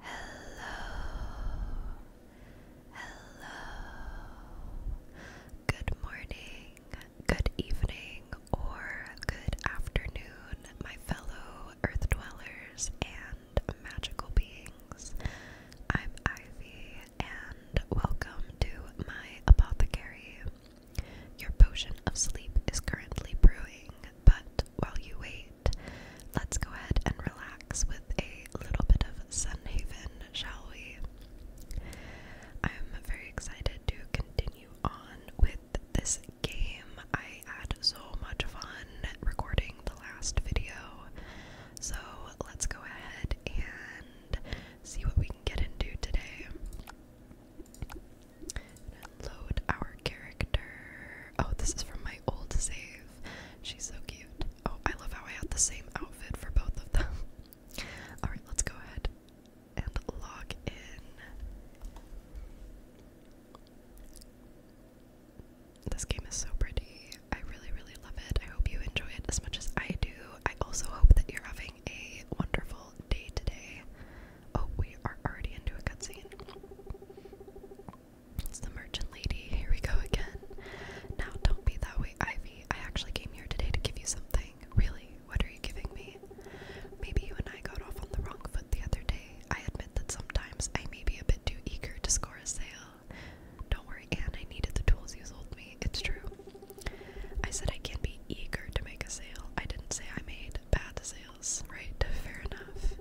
Hello, hello. Good morning, good evening, or good afternoon, my fellow earth dwellers and magical beings. I'm Ivy, and welcome to my apothecary. Your potion of sleep is currently brewing, but while you wait, let's go ahead and relax with a little bit of sun haven, shall we? I'm very excited to continue on with this game. I had so much fun recording the last video. So let's go ahead and see what we can get into today. Load our character. Oh, this is from my old save. She's so cute. Oh, I love how I had the same outfit for both of them. Alright, let's go ahead and log in. This game is so pretty. I really, really love it. I hope you enjoy it as much as I do. I also hope that you're having a wonderful day today. Oh, we are already into a cutscene. It's the merchant lady. Here we go again. Now, don't be that way, Ivy. I actually came here today to give you something. Really? What are you giving me? Maybe you and I got off on the wrong foot the other day. I admit that sometimes I may be a bit too eager to score a sale. Don't worry, Anne, I needed the tools you sold me. It's true. I said I can be eager to make a sale. I didn't say I made bad sales. Right, fair enough.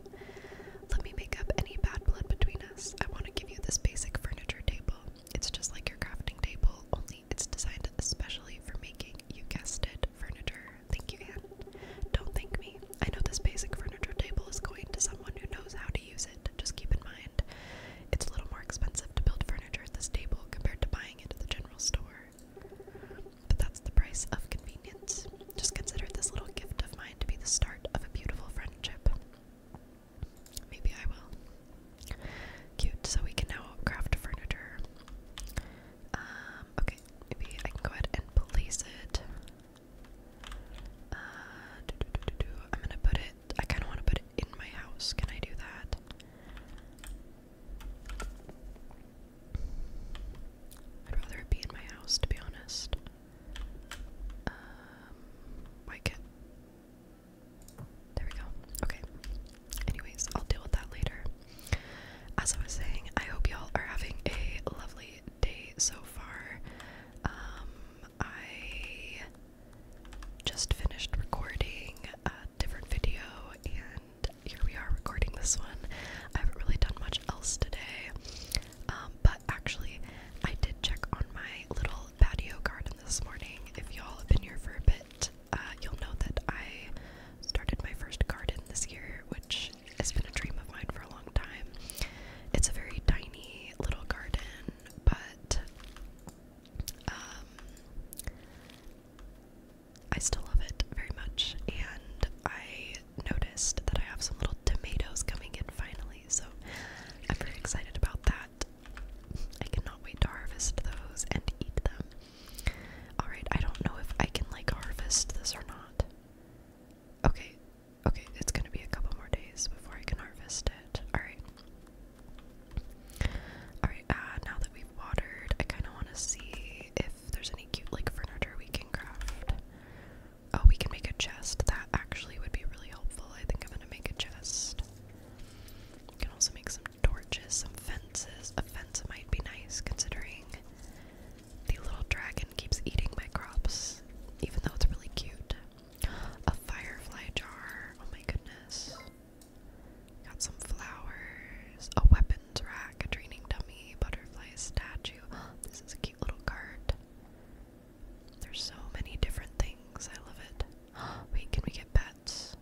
Let me make up any bad blood between us. I want to give you this basic furniture table. It's just like your crafting table, only it's designed especially for making, you guessed it, furniture. Thank you, Anne. Don't thank me. I know this basic furniture table is going to someone who knows how to use it. Just keep in mind, it's a little more expensive to build furniture at this table compared to buying it at the general store. But that's the price of convenience. Just consider this little gift of mine to be the start of a beautiful friendship. Maybe I will. Cute. So we can now craft furniture. Um, okay. Maybe I can go ahead and place it. Uh, I'm gonna put it. I kind of want to put it in my house. Can I do that? I'd rather it be in my house, to be honest. Um, why There we go. Okay. Anyways, I'll deal with that later. As I was saying, I hope y'all are having a lovely day so far. Um, I just finished recording a different video, and here we are recording this one. I haven't really done much else today, but um, actually, I did check on my little patio garden this morning. If y'all have been here for a bit, uh, you'll know that I started my first garden this year, which has been a dream of mine for a long time. It's a very tiny little garden, but um, I still love it very much, and I noticed that I have some little tomatoes coming in finally, so I'm very excited about that. I cannot wait to harvest those and eat them. Alright, I don't know if I can like harvest this or not. Okay, okay, it's gonna be a couple more days before I can harvest it. Alright. Alright, uh, now that we've watered, I kind of want to see if there's any cute, like, furniture we can craft. Oh, we can make a chest. That actually would be really helpful. I think I'm gonna make a chest. We can also make some torches, some fences. A fence might be nice considering the little dragon keeps eating my crops, even though it's really cute. A firefly jar. Oh my goodness. Got some flowers, a weapons rack, a training dummy, butterfly statue. This is cute little cart. There's so many different things. I love it. Wait, can we get pets?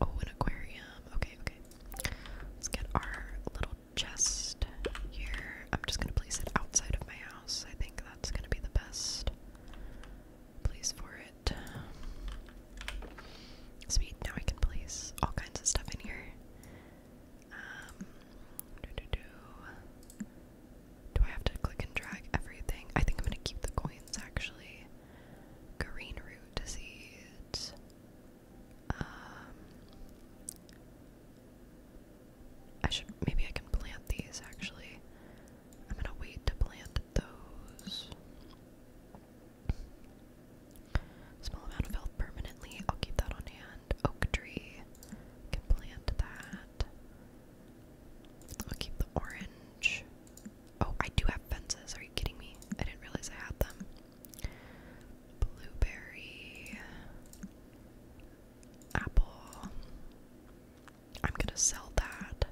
Oh, an aquarium. Okay, okay. Let's get our little chest here. I'm just gonna place it outside of my house. I think that's gonna be the best place for it. Sweet, now I can place all kinds of stuff in here. Um, do, I have to click and drag everything? I think I'm gonna keep the coins actually. Green root disease. Um, I should maybe I can plant these actually. I'm gonna wait to plant those. Small amount of permanently. I'll keep that on hand. Oak tree. Can plant that. I'll keep the orange. Oh, I do have fences. Are you kidding me? I didn't realize I had them. Blueberry. Apple. I'm gonna sell that.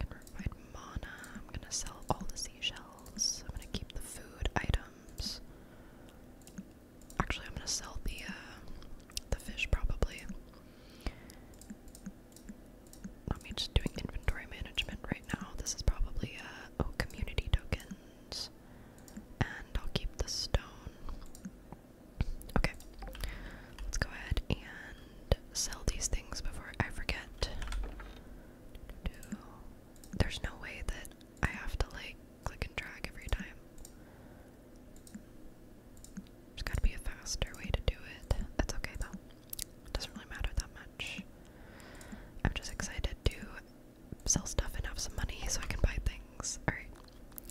i provide mana. I'm gonna sell all the seashells. I'm gonna keep the food item. Actually, I'm gonna sell the uh, the fish probably. Not me just doing inventory management right now. This is probably uh, oh community tokens, and I'll keep the stone. Okay, let's go ahead and sell these things before I forget. There's no way that I have to like click and drag every time. There's gotta be a faster way to do it. That's okay though. doesn't really matter that much. I'm just excited to sell stuff and have some money so I can buy things. Alright.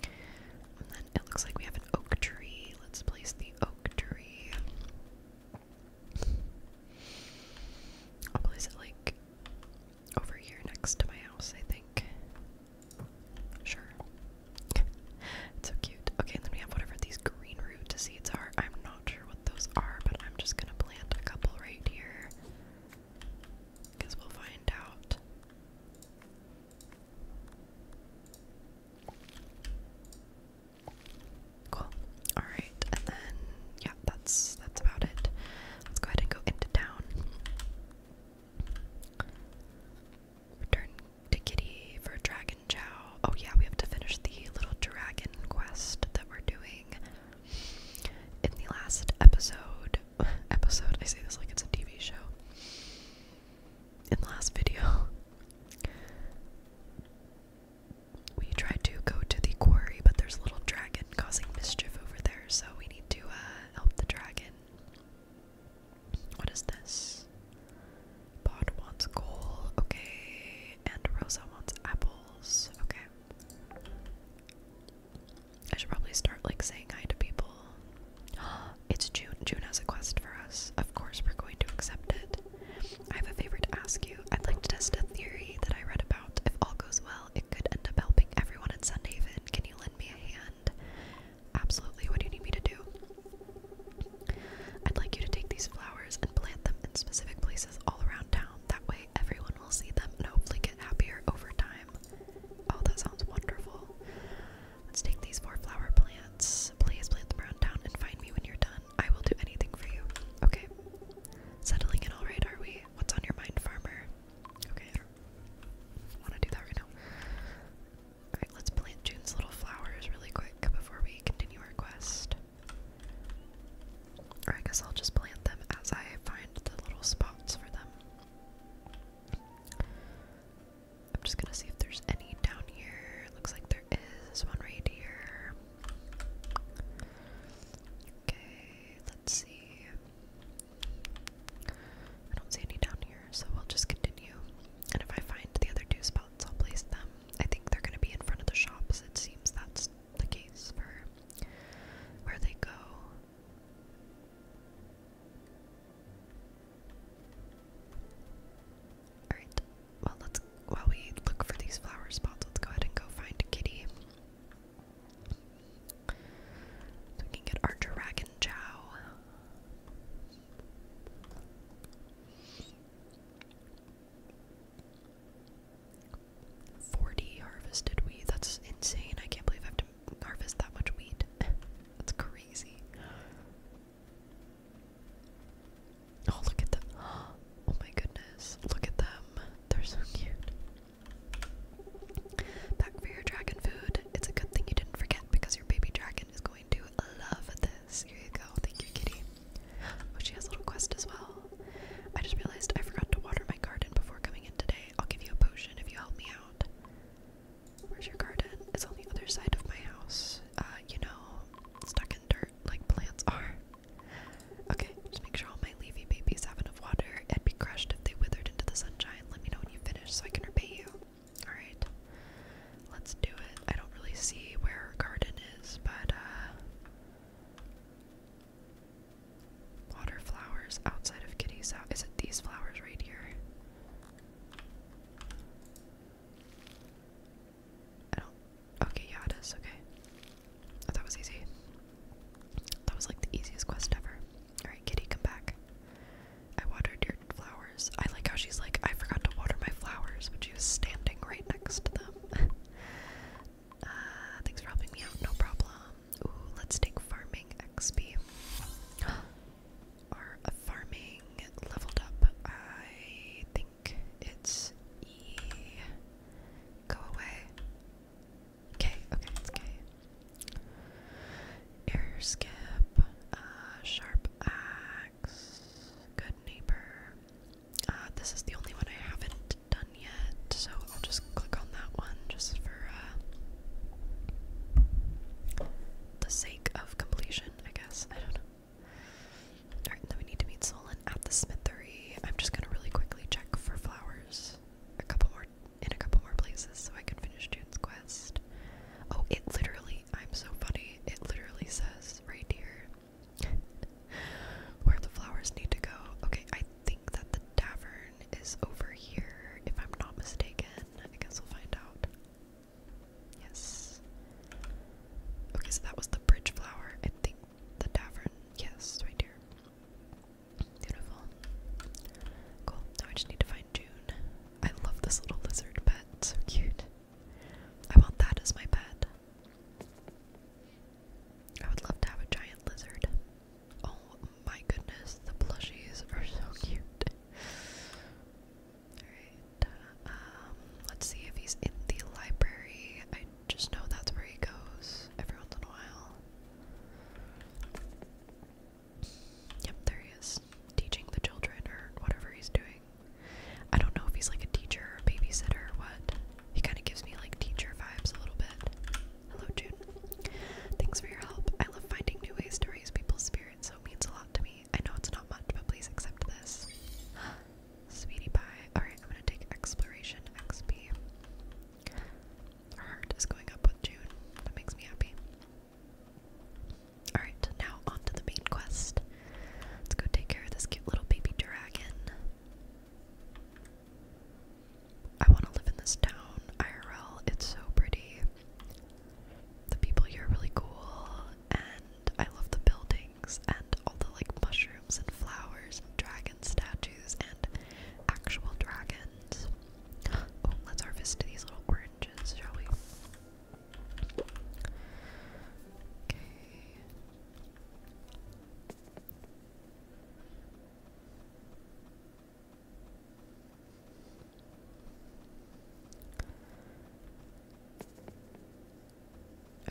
And then it looks like we have an oak tree. Let's place the oak tree. I'll place it like over here next to my house, I think. Sure. it's so cute. Okay, and then we have whatever these green root seeds are. I'm not sure what those are, but I'm just gonna plant a couple right here. Because we'll find out. Cool. Alright, and then yeah, that's that's about it. Let's go ahead and go into town. Return to Kitty for Dragon Chow. Oh yeah, we have to finish the little dragon quest that we're doing. In the last episode episode, I say this like it's a TV show. In the last video we tried to go to the quarry, but there's a little dragon causing mischief over there, so we need to uh, help the dragon. What is this? Pod wants coal, okay, and Rosa wants apples, okay. I should probably start like saying hi to people. It's June. June has a quest for us. Of course, we're going to accept it. I have a favor to ask you. I'd like to test a theory that I read about. If all goes well, it could end up helping everyone in Sunhaven. Can you lend me a hand? Absolutely. What do you need me to do? I'd like you to take these flowers and plant them in specific places all around town. That way, everyone will see them and hopefully get happier over time. Oh, that sounds wonderful. Let's take these four flower plants. Please plant them around town and find me when you're done. I will do anything for you. Okay. Settling in alright, are we? What's on your mind, farmer? Okay, I don't want to do that right now. Alright, let's plant June's little flowers really quick before we continue our quest. Or I guess I'll just plant them as I find the little spots for them. I'm just gonna see if there's any down here. Looks like there is. one right here. Okay, let's see. I don't see any down here, so we'll just continue. And if I find the other two spots, I'll place them. I think they're gonna be in front of the shops. It seems that's the case for where they go. Alright, well let's while we look for these flower spots, let's go ahead and go find Kitty we can get our dragon chow. Forty harvested weed. That's insane. I can't believe I have to harvest that much wheat. That's crazy. Oh, look at them. Oh my goodness. Look at them. They're so cute. Back for your dragon food. It's a good thing you didn't forget because your baby dragon is going to love this. Here you go. Thank you, kitty. Oh, she has a little quest as well. I just realized I forgot to water my garden before coming in today. I'll give you a potion if you help me out. Where's your garden? It's on the other side of my house. Uh, you know, stuck in dirt like plants are. Okay, just make sure all my leafy babies have enough water. it would be crushed if they withered into the sunshine. Let me know when you finish so I can repay you. Alright, let's do it. I don't really see where her garden is, but, uh. Water flowers outside of Kitty's house. Is it these flowers right here? I don't. Okay, yeah, it is. Okay that was easy. That was like the easiest quest ever. Alright, kitty, come back. I watered your flowers. I like how she's like, I forgot to water my flowers, but she was standing right next to them. Uh, thanks for helping me out, no problem. Ooh, let's take farming XP. Our uh, farming leveled up. I think it's E. Go away. Okay. okay, Okay. K. Uh, sharp axe, good neighbor. Uh, this is the only one I haven't done yet, so I'll just click on that one just for uh, the sake of completion, I guess. I don't know. Alright, then we need to meet Solon at the smithery. I'm just gonna really quickly check for flowers a couple more in a couple more places so I can finish June's quest. Oh, it literally, I'm so funny, it literally says right here where the flowers need to go. Okay, I think that the tavern is over here, if I'm not mistaken. I guess we'll find out. Yes. Okay, so that was the bridge flower. I think the tavern, yes, right here. Beautiful. Cool. Now I just need to find June. I love this little lizard pet. So cute. I want that as my pet. I would love to have a giant lizard. Oh my goodness, the plushies are so cute. Alright, um, let's see if he's in the library just know that's where he goes every once in a while. Yep, there he is, teaching the children or whatever he's doing. I don't know if he's like a teacher or a babysitter or what. He kind of gives me like teacher vibes a little bit. Hello, June. Thanks for your help. I love finding new ways to raise people's spirits, so it means a lot to me. I know it's not much, but please accept this. Sweetie pie. Alright, I'm gonna take exploration XP heart is going up with June. That makes me happy. Alright, now on the main quest. Let's go take care of this cute little baby dragon. I want to live in this town, IRL. It's so pretty. The people here are really cool, and I love the buildings and all the like mushrooms and flowers and dragon statues and actual dragons. Oh, let's harvest these little oranges, shall we?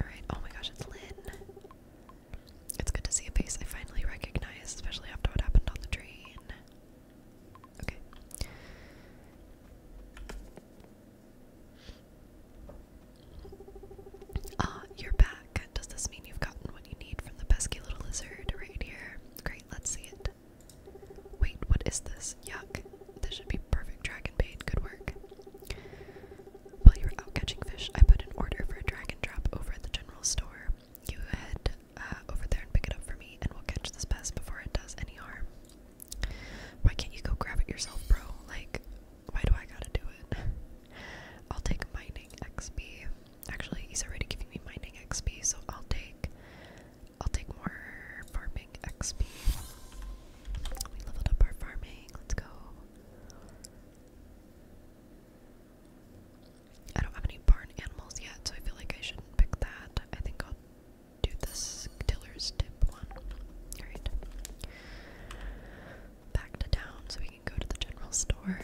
Alright, oh my gosh, it's Lynn. It's good to see a face I finally recognize, especially after what happened on the train. Okay. Ah, you're back. Does this mean you've gotten what you need from the pesky little lizard right here? Great, let's see it. Wait, what is this? Yuck. This should be perfect dragon bait. Good work. While you were out catching fish, I put an order for a dragon trap over at the general store. You head uh, over there and pick it up for me, and we'll catch this pest before it does any harm. Why can't you go grab it yourself, bro? Like, why do I gotta do it? I'll take mining XP. Actually, he's already giving me mining XP, so I'll take I'll take more farming XP. We leveled up our farming. Let's go. I don't have any barn animals yet, so I feel like I shouldn't pick that. I think I'll do this tiller's tip one. Alright. Back to town so we can go to the general store.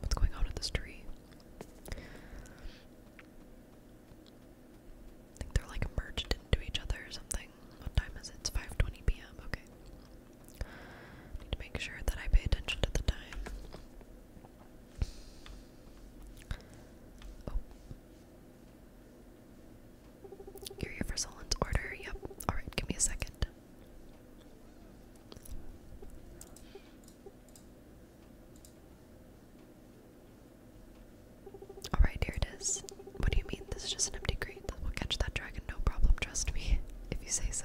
What's going on with this tree? I think they're like merged into each other or something. What time is it? It's 5:20 p.m. Okay. need to make sure that I pay attention to the time. Oh. here for Solon's order? Yep. Alright, give me a second. Alright, here it is. What do you mean? This is just an empty crate. We'll catch that dragon, no problem, trust me. If you say so.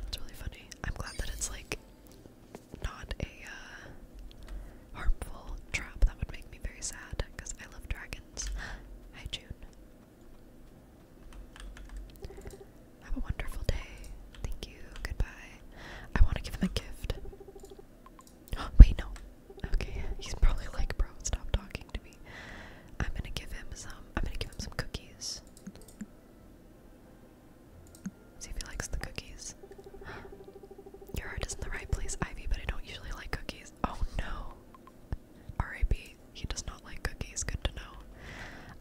That's really funny. I'm glad that it's like not a uh, harmful trap. That would make me very sad because I love dragons. Hi, June. Have a wonderful day. Thank you. Goodbye. I want to give him a gift. Wait, no. Okay, he's probably like, bro, stop talking to me. I'm gonna give him some. I'm gonna give him some cookies. See if he likes the cookies. Your heart is in the right place, Ivy, but I don't usually like cookies. Oh no. R.I.P. He does not like cookies. Good to know.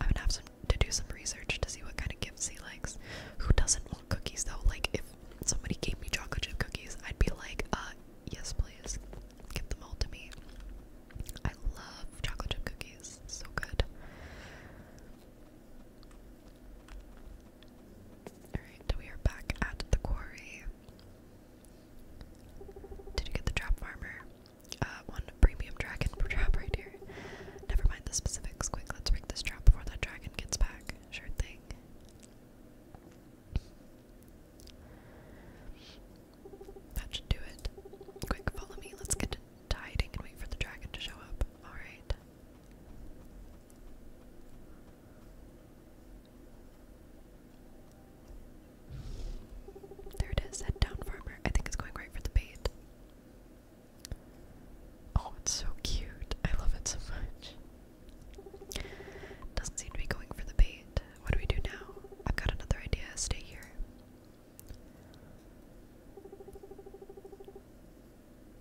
I'm gonna have some to do some research to see what kind of gifts he likes. Who doesn't want cookies though? Like if somebody gave me chocolate chip cookies, I'd be like, uh, yes, please, give them all to me. I love chocolate chip cookies, so good. Alright, we are back at the quarry. Did you get the trap farmer? Uh, one premium dragon trap right here. Never mind the specifics. Quick, let's break this trap before that dragon gets back. Sure thing. That should do it. Quick, follow me. Let's get to hiding and wait for the dragon to show up. Alright. There it is, head down farmer. I think it's going right for the bait. Oh, it's so cute. I love it so much. Doesn't seem to be going for the bait. What do we do now? I've got another idea. Stay here.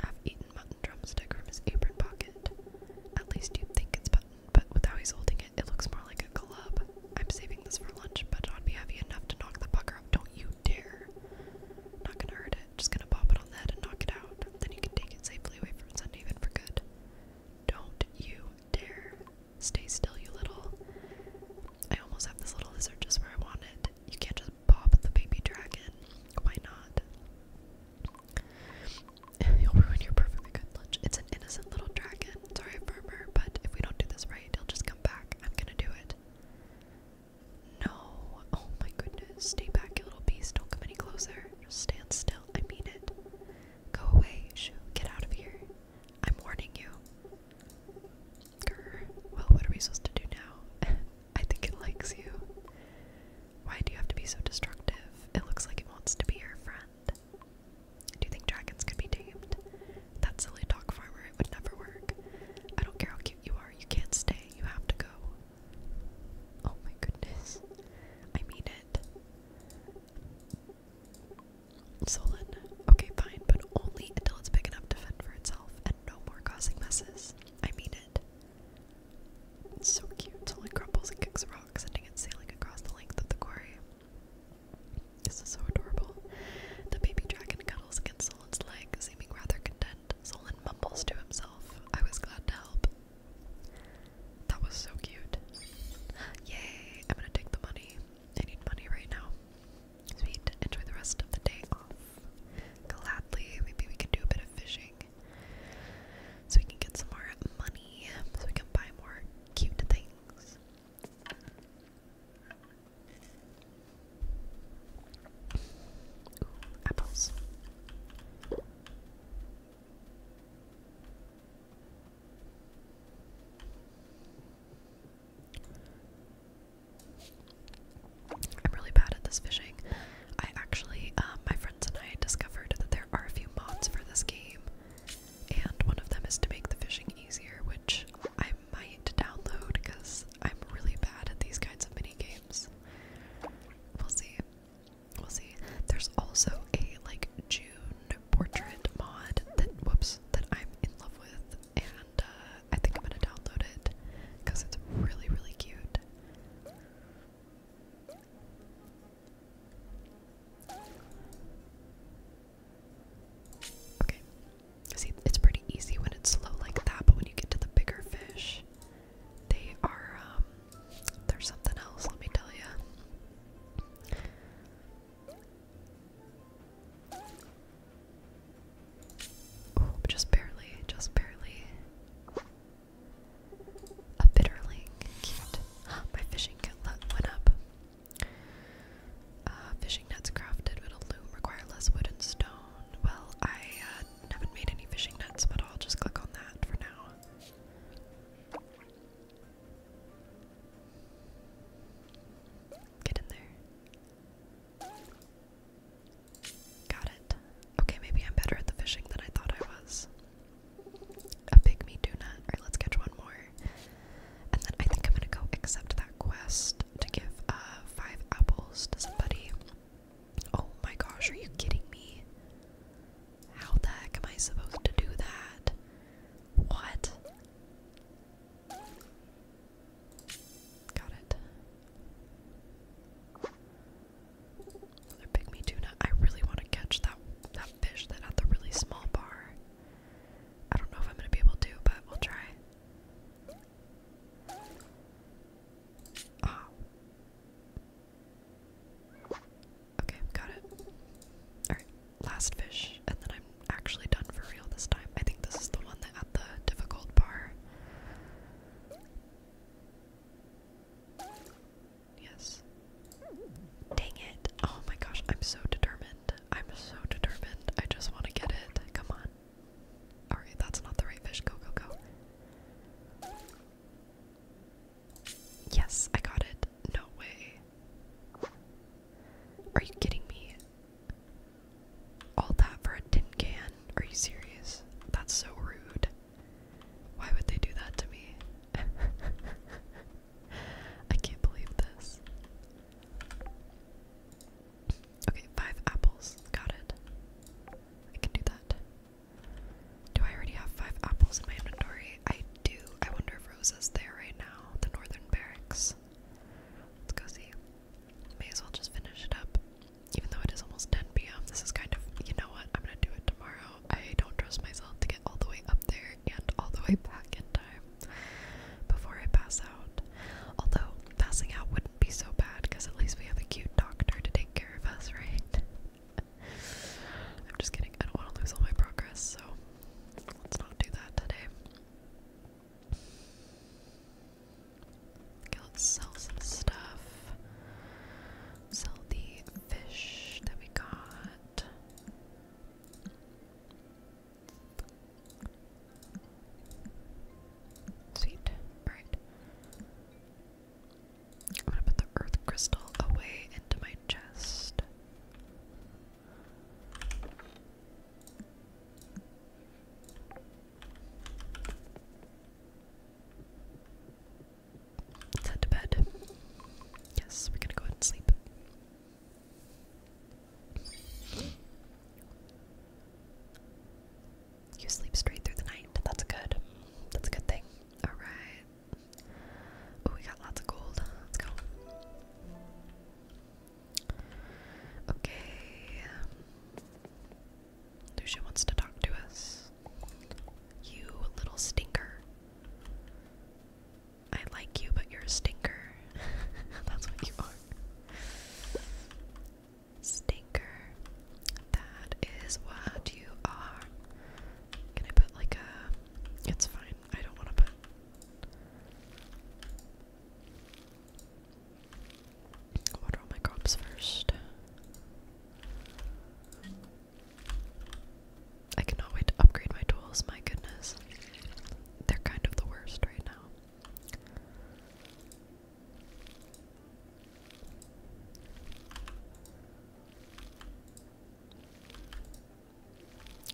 I've eaten mutton drumstick from his apron pocket. At least you think it's mutton, but with how he's holding it, it looks more like a club. I'm saving this for lunch, but it ought be heavy enough to knock the pucker up. Don't you dare. Not gonna hurt it. Just gonna pop it on that and knock it out. Then you can take it safely away from Sunhaven for good. Don't you dare. Stay still, you little. I almost have this little lizard just where I want it. You can't just pop the baby dragon. Why not? You'll ruin your perfectly lunch. It's an innocent little dragon. Sorry, farmer, but if we don't do this right, he'll just come back. I'm gonna do it. No. Oh my goodness. Stay back, you little beast. Don't come any closer. Just stand still. I mean it. Go away. Get out of here. I'm warning you. Well, what are we supposed to do now? I think it likes you. Why do you have to be so destructive? It looks like it wants to be your friend. Do you think dragons could be tamed? That silly dog farmer, it would never work. I don't care how cute you are, you can't stay, you have to go. Oh my goodness. I mean it. Solon. Okay, fine, but only until it's big enough to fend for itself and no more causing messes. I mean it. so cute. Solon crumbles and kicks a rock, sending it sailing across the length of the quarry. This is so adorable. The baby dragon cuddles against Solon's leg, seeming rather content. Solon mumbles to himself. I was glad to help. That was so cute. Yay, I'm gonna take the money. I need money right now. Sweet, enjoy the rest of the day off. Gladly, maybe we can do a bit of fishing. So we can get some more money, so we can buy more cute things. apples. I'm really bad at this fishing. I actually, um, my friends and I discovered that there are a few mods for this game, and one of them is to make the fishing easier, which I might download because I'm really bad at these kinds of mini games. We'll see. We'll see. There's also a like June portrait mod that whoops that I'm in love with, and uh, I think I'm gonna download it because it's really really cute. Okay. See, it's pretty easy when it's slow like that, but when you get to the bigger fish, they are um there's something else, let me tell you. Oh, just barely, just barely. A bitterling, My fishing net went up. Uh, fishing nets crafted with a loom require less wood and stone. Well, I uh, haven't, haven't made any fishing nets, but I'll just click on that for now. Get in there. Got it. Okay, maybe I'm better at the fishing than I thought I was. A pygmy do Alright, let's catch one more. And then I think I'm gonna go accept that quest to give uh, five apples to somebody. Oh my gosh, are you kidding me? How the heck am I supposed to do that? What? Got it. Another pygmy tuna. I really want to catch that that fish that had the really small bar. I don't know if I'm gonna be able to, but we'll try. Ah. Okay, got it. Alright, last fish, and then I'm actually done for real this time. I think this is the one that had the difficult bar. Yes. Dang it. Oh my gosh, I'm so determined. I'm so determined. I just want to get it. Come on. Alright, that's not the right fish. Go, go, go. Yes, I got it. No way. Are you kidding me? All that for a tin can? Are you serious? That's so rude. Why would they do that to me? I can't believe this. Okay, five apples. Got it. I can do that. Do I already have five apples in my inventory? I do. I wonder if Rosa's there right now. The northern barracks. Let's go see. May as well just finish it up. Even though it is almost 10 p.m., this is kind of, you know what, I'm gonna do it tomorrow. I don't trust myself to get all the way up there and all the way back in time before I pass out. Although, passing out wouldn't be so bad because at least we have a cute doctor to take care of us, right? I'm just kidding. I don't want to lose all my progress, so let's not do that today. let's sell some stuff. Sell the fish that we got. Sweet. Alright. I'm gonna put the earth crystal away into my chest. Let's to bed. Yes, we're gonna go ahead and sleep. You sleep straight through the night. That's a good. That's a good thing. Alright. Oh, we got lots of gold. Let's go. Okay. Lucia wants to talk to us. You little stinker. I like you, but you're a stinker. That's what you are. Stinker. That is what you are. Can I put like a. It's fine. I don't want to put. Water all my crops first. I cannot wait to upgrade my tools, my goodness. They're kind of the worst right now.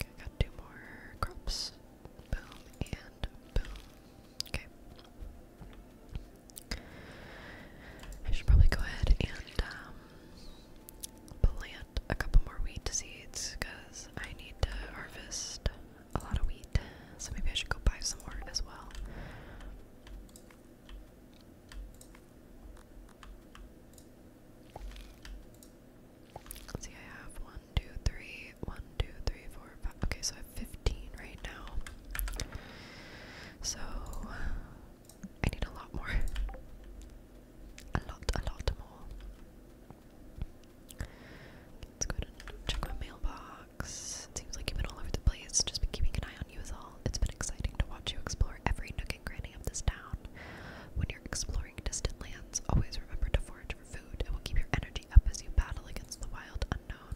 I got two more crops. Boom and boom. Okay. I should probably go ahead and um, plant a couple more wheat seeds because I need to harvest a lot of wheat. So maybe I should go buy some more as well see, I have one, two, three, one, two, three, four, five. Okay, so I have 15 right now. So I need a lot more. A lot, a lot more. Let's go check my mailbox. seems like you've been all over the place. Just be keeping an eye you is all. It's been exciting to watch you explore every nook and cranny of this town. When you're exploring distant lands, always remember to forage for food. It will keep your energy up as you battle against the wild unknown.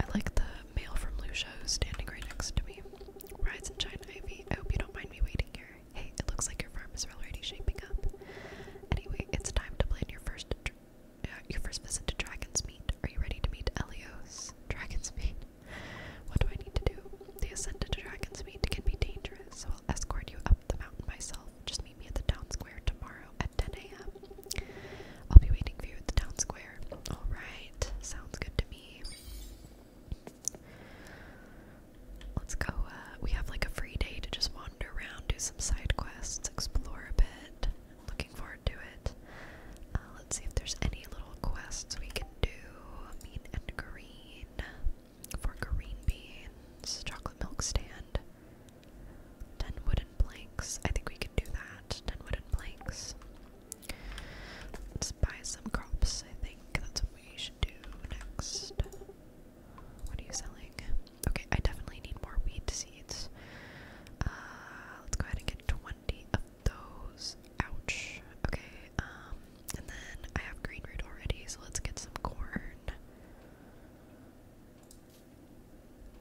I like the mail from Lucia standing right next to me. Rise and shine, Ivy. I hope you don't mind me waiting here. Hey, it looks like your farm is already shaping up. Anyway, it's time to plan your first uh, your first visit to Dragon's Meat. Are you ready to meet Elios? Dragon's Meat. What do I need to do? The ascent to Dragon's Meat can be dangerous, so I'll escort you up the mountain myself. Just meet me at the town square tomorrow at 10 a.m. I'll be waiting for you at the town square. Alright, sounds good to me. Let's go, uh, we have like a free day to just wander around, do some side quests, explore a bit. Looking forward to it. Uh, let's see if there's any little quests we can do. Mean and green for green beans. Chocolate milk stand. Ten wooden planks. I think we can do that. Ten wooden planks. Let's buy some crops. I think that's what we should do next. What are you selling? Okay, I definitely need more wheat seeds. Uh, let's go ahead and get 20 of those. Ouch. Okay, um, and then I have green root already, so let's get some corn.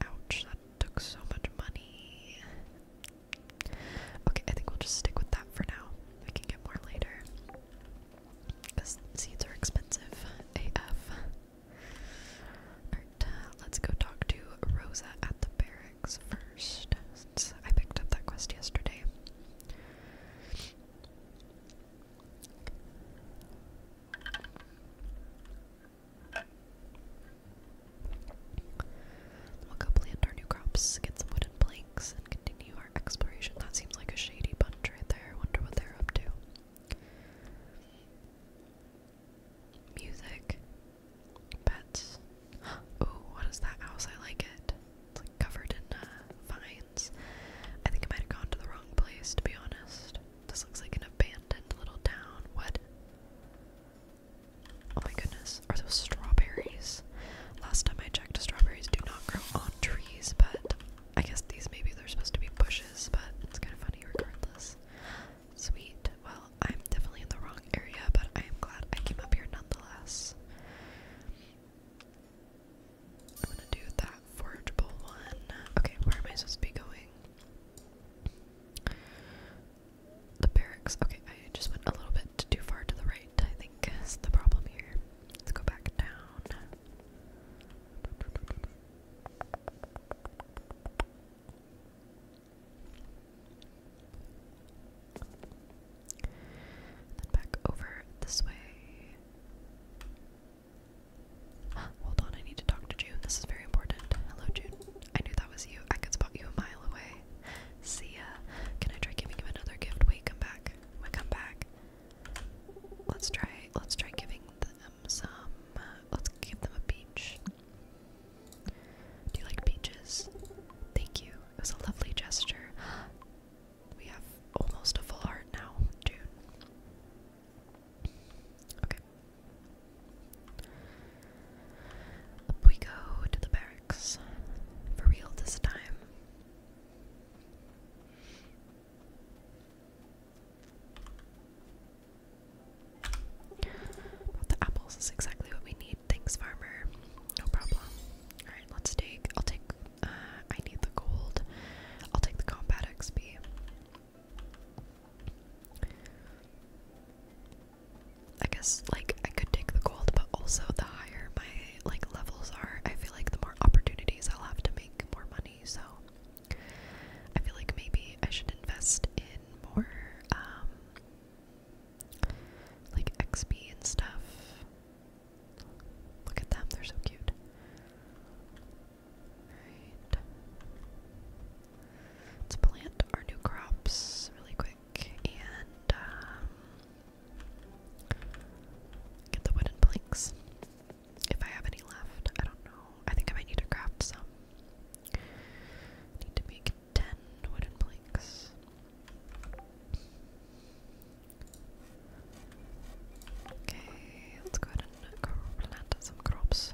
Ouch, that took so much money. Okay, I think we'll just stick with that for now. We can get more later. Because seeds are expensive. AF. Alright, let's go talk to Rosa at the barracks first, I picked up that quest yesterday. We'll go plant our new crops, get some wooden planks, and continue our exploration. That seems like a shady bunch right there. wonder what they're up to. Music. Pets. Oh, what is that house? I like it. It's like covered in uh, vines. I think I might have gone to the wrong place, to be honest. This looks like an abandoned little town. What? Oh my goodness. Are those strawberries? Last time I checked, strawberries do not grow on trees, but I guess these maybe they're supposed to be bushes, but it's kind of funny regardless. Sweet. Well, I'm definitely in the wrong area, but I am glad I came up here nonetheless. I'm gonna do that forageable one. Okay, where am I supposed to be going? The barracks. Okay, I just went a little bit too far to the right, I think, is the problem here. Let's go back down. Then back over this way. Hold on, I need to talk to June. This is very important. Hello, June. I knew that was you. I could spot you a mile away. See ya. Can I try giving him another gift? Wait, come back. We come back. Let's try. Let's try giving them some. Uh, let's give them a beach. Do you like peaches? Thank you. It was a lovely gesture. We have almost a full heart now, June. Okay. we go to the barracks. For real this time. the apples is exactly what we need. Thanks, farmer. No problem. Alright, let's take. I'll take. Uh, I need the gold. I'll take the combat XP. I guess, like, I could take the gold, but also the higher my, like, levels are, I feel like the more opportunities I'll have to make more money, so I feel like maybe I should invest in more, um, like XP and stuff. Look at them, they're so cute. Let's plant our new crops really quick and um, get the wooden planks. If I have any left, I don't know. I think I might need to craft some. Need to make ten wooden planks. Okay, let's go ahead and go some crops.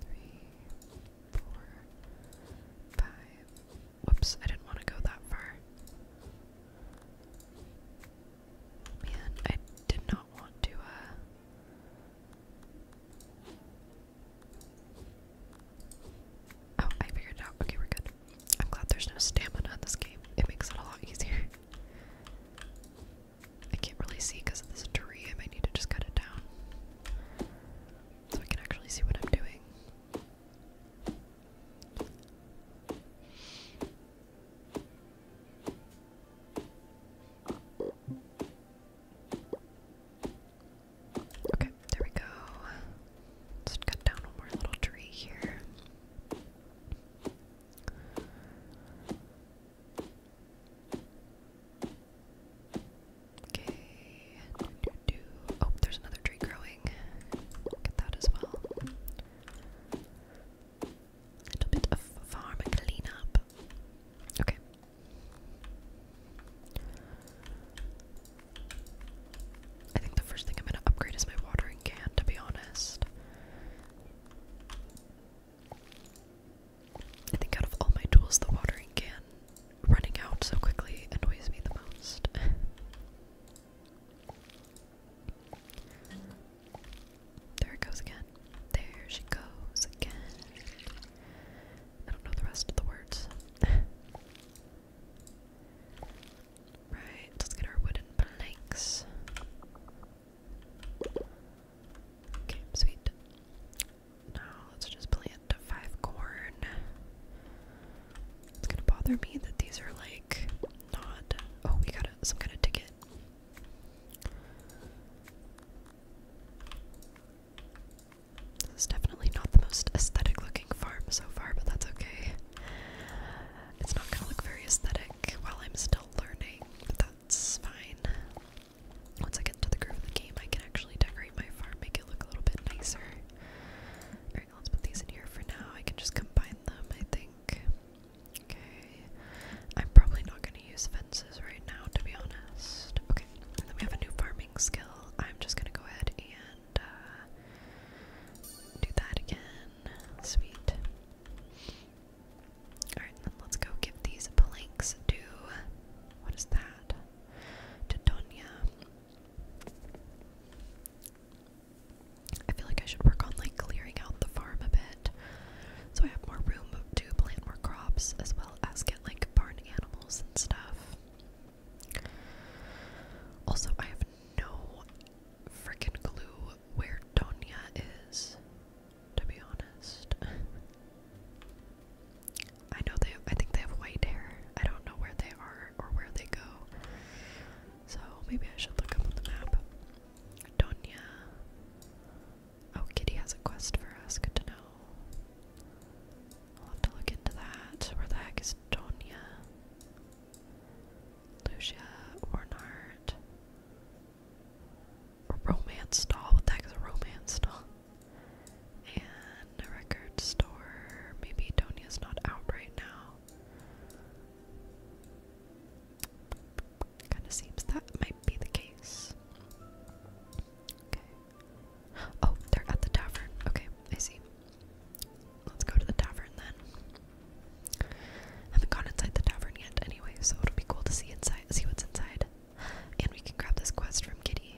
Three, four, five. Whoops, I didn't want to go that far. Man, I did not want to, uh, Oh, I figured it out. Okay, we're good. I'm glad there's no stamina in this game. It makes it a lot easier. I can't really see because of this tree. I might need to just cut it down so I can actually see what I'm doing. Okay, there we go. Let's cut down one more little tree here. Okay. Oh, there's another tree growing. Get that as well little bit of farm cleanup. Okay. I think the first thing I'm going to upgrade is my watering can, to be honest. I think out of all my tools, the watering can running out so quickly annoys me the most. There it goes again. There she goes again. I don't know the rest of the words. right, let's get our wooden planks. Okay, sweet. Now let's just plant five corn. It's gonna bother me that these are like not. Oh, we got some kind of ticket. This is definitely not the most aesthetic looking farm so far, but that's okay. It's not gonna look very aesthetic while I'm still learning, but that's fine. Once I get to the groove of the game, I can actually decorate my farm, make it look a little bit nicer. Alright, let's put these in here for now. I can just combine them, I think. Okay. I'm probably not going to use fences right now, to be honest. Okay, then we have a new farming skill. I'm just going to go ahead and uh, do that again. Sweet. Alright, then let's go give these planks to. What is that? To I feel like I should work on like clearing out the farm a bit so I have more room to plant more crops as well as get like barn animals and stuff. Also, I have no freaking clue where Donia is, to be honest. I know they have, I think they have white hair. I don't know where they are or where they go. So maybe I should look up on the map. Donia. Oh, Kitty has a quest for us. Good to know. I'll have to look into that. Where the heck is Tonya? Lucia, Ornard. A romance stall. What the heck is a romance stall? And a record store. Maybe Tonya's not out right now. Kind of seems that might be the case. Okay. Oh, they're at the tavern. Okay, I see. Let's go to the tavern then. Haven't gone inside the tavern yet, anyway, so it'll be cool to see inside, see what's inside, and we can grab this quest from Kitty.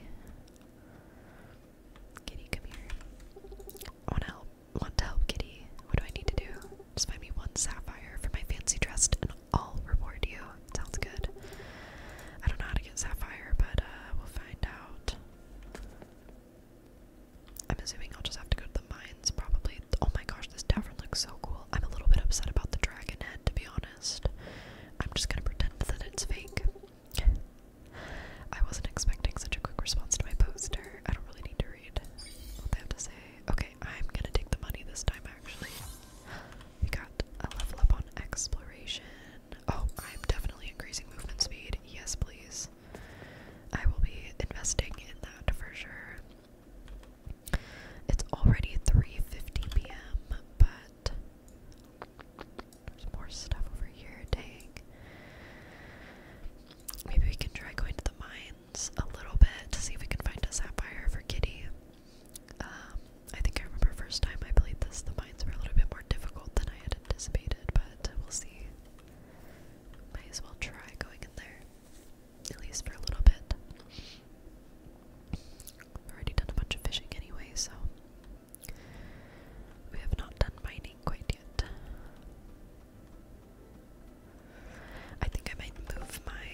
Kitty, come here. I want to help. Want to help Kitty? What do I need to do? Just find me one sapphire for my fancy dress I'll reward you. Sounds good. I don't know how to get sapphire, but uh, we'll find out. I'm assuming I'll just have to go to the mines, probably. Oh my gosh, this tavern looks so cool. I'm a little bit upset about the dragon head, to be honest. I'm just gonna pretend that it's fake. I wasn't expecting such a quick response to my poster. I don't really need to read what they have to say. Okay, I'm gonna take the money this time actually. We got a level up on exploration. Oh, I'm definitely increasing movement speed. Yes, please. I will be investing in that for sure. It's already 3:50 p.m., but there's more stuff over here. Dang. Maybe we can try going to the mines a little bit to see if we can find a sapphire for Kitty. Um, I think I remember first time I played this, the mines were a little bit more difficult than I had anticipated, but we'll see. Might as well try going in there, at least for a little bit. already done a bunch of fishing anyway, so we have not done mining quite yet. I think I might move my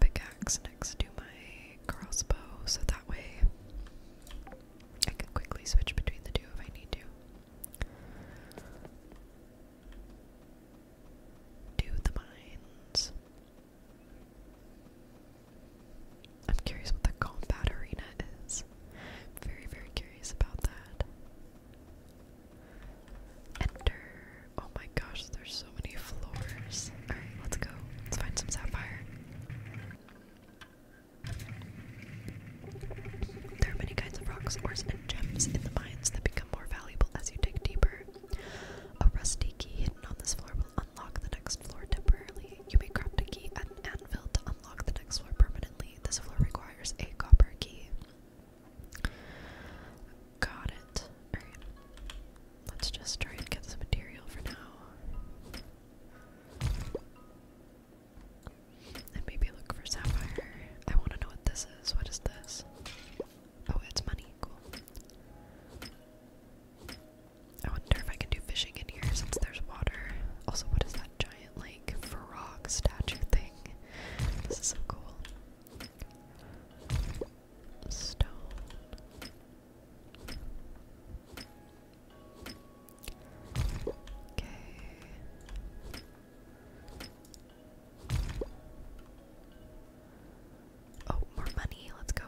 pickaxe next to my crossbow so that way I can quickly switch between the two if I need to. Do the mines. I'm curious what the combat arena is. Very, very curious about that. Enter. Oh my gosh, there's so many floors. Alright, let's go. Let's find some sapphire. There are many kinds of rocks, ores, and gems in the mines that become more valuable as you dig deeper. A rusty key hidden on this floor will unlock the next floor temporarily. You may craft a key at anvil to unlock the next floor permanently. This floor requires a copper key. Got it. Alright. Let's just try and get some material for now. And maybe look for sapphire. I want to know what this is. What is this? Oh, it's money. Cool. I wonder if I can do fishing in here since there's water. Also, what is that giant, like, frog statue thing? This is so cool stone. Okay. Oh, more money. Let's go.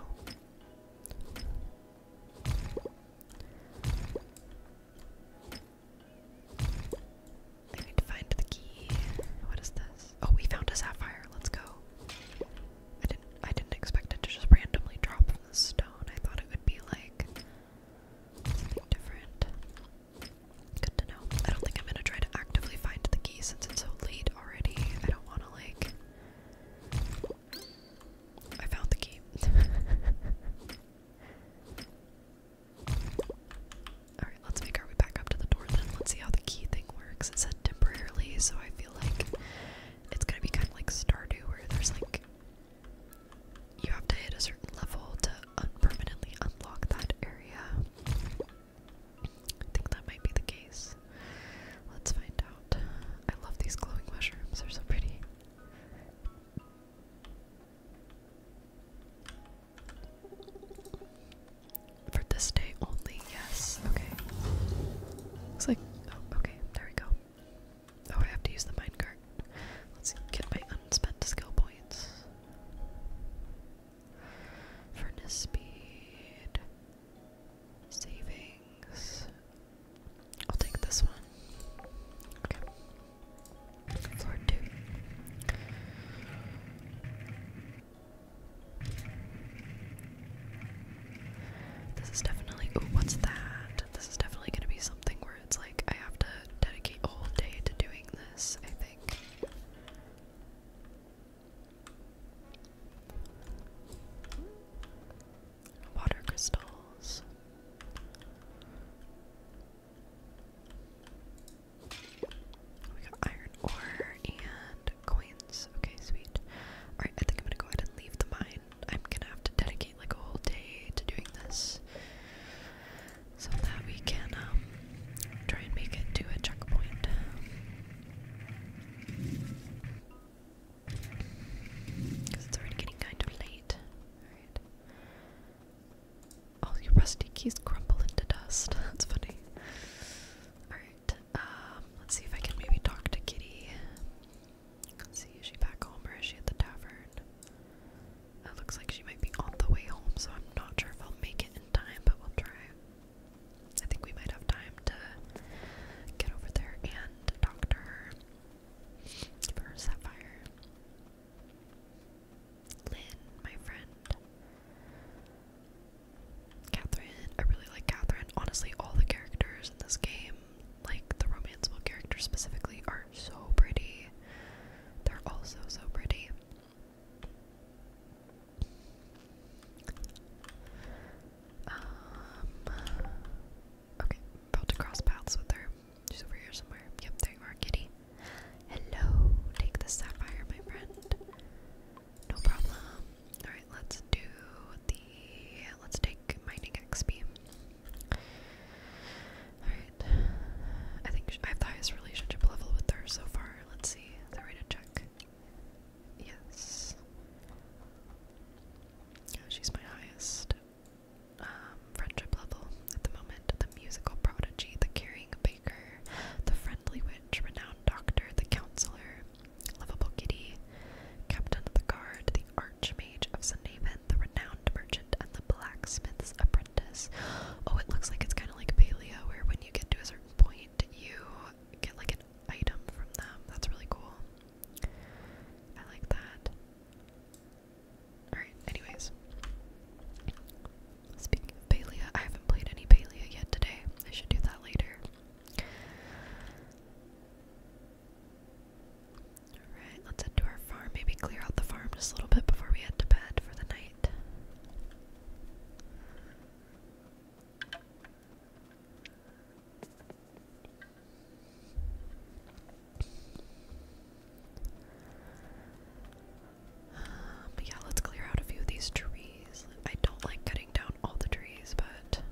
I need to find the key. What is this? Oh, we found a sapphire. Let's go. I didn't I didn't expect it to just randomly drop from the stone. I thought it would be like something different. Good to know. I don't think I'm gonna try to actively find the key since it's so late already. I don't wanna like I found the key. Alright, let's make our way back up to the door then. Let's see how the key thing works. It said temporarily, so I like it's gonna be kind of like Stardew, where there's like you have to hit a certain level to permanently unlock that area. I think that might be the case. Let's find out. I love these glowing mushrooms, they're so pretty. For this day only, yes. Okay. Looks like. Oh, okay. There we go. Oh, I have to use the minecart. Let's get my unspent skill points. Furnace speed. Savings. I'll take this one. Okay. Floor two. This is definitely. Ooh, what's that? This is definitely gonna be something where it's like I have to dedicate a whole day to doing this, I think. Water crystals. We got iron ore and coins coins. Okay, sweet. Alright, I think I'm gonna go ahead and leave the mine. I'm gonna have to dedicate like a whole day to doing this so that we can um, try and make it to a checkpoint. Because it's already getting kind of late. Alright. All your rusty keys crumble into dust. That's funny. Alright. Um, let's see if I can maybe talk to Kitty. see, is she back home or is she at the tavern? It looks like she might be on the way home, so I'm not sure if I'll make it in time, but we'll try. I think we might have time to get over there and talk to her for Sapphire. Lynn, my friend. Catherine. I really like Catherine. Honestly, all the characters in this game, like the romance book characters specifically, are so pretty. They're all so, so pretty. Um, okay, about to cross paths with her. She's over here somewhere. Yep, there you are, kitty. Hello, take the sapphire, my friend. No problem. Alright, let's do the let's take mining XP. Alright. I think I have the highest relationship level with her so far. Let's see. Is that check? Yes. She's my highest um, friendship level at the moment. The musical prodigy, the caring baker, the friendly witch, renowned doctor, the counselor, Lovable Kitty, Captain of the Guard, the Archmage of Sunhaven, the Renowned Merchant, and the Blacksmith's Apprentice. Oh, it looks like it's kind of like Paleo, where when you get to a certain point, you get like an item from them. That's really cool. I like that. Alright, anyways. Speaking of Palea, I haven't played any Palea yet today. I should do that later. Alright, let's head to our farm. Maybe clear out the farm just a little bit before we head to bed for the night. Um, yeah, let's clear out a few of these trees. I don't like cutting down all the trees, but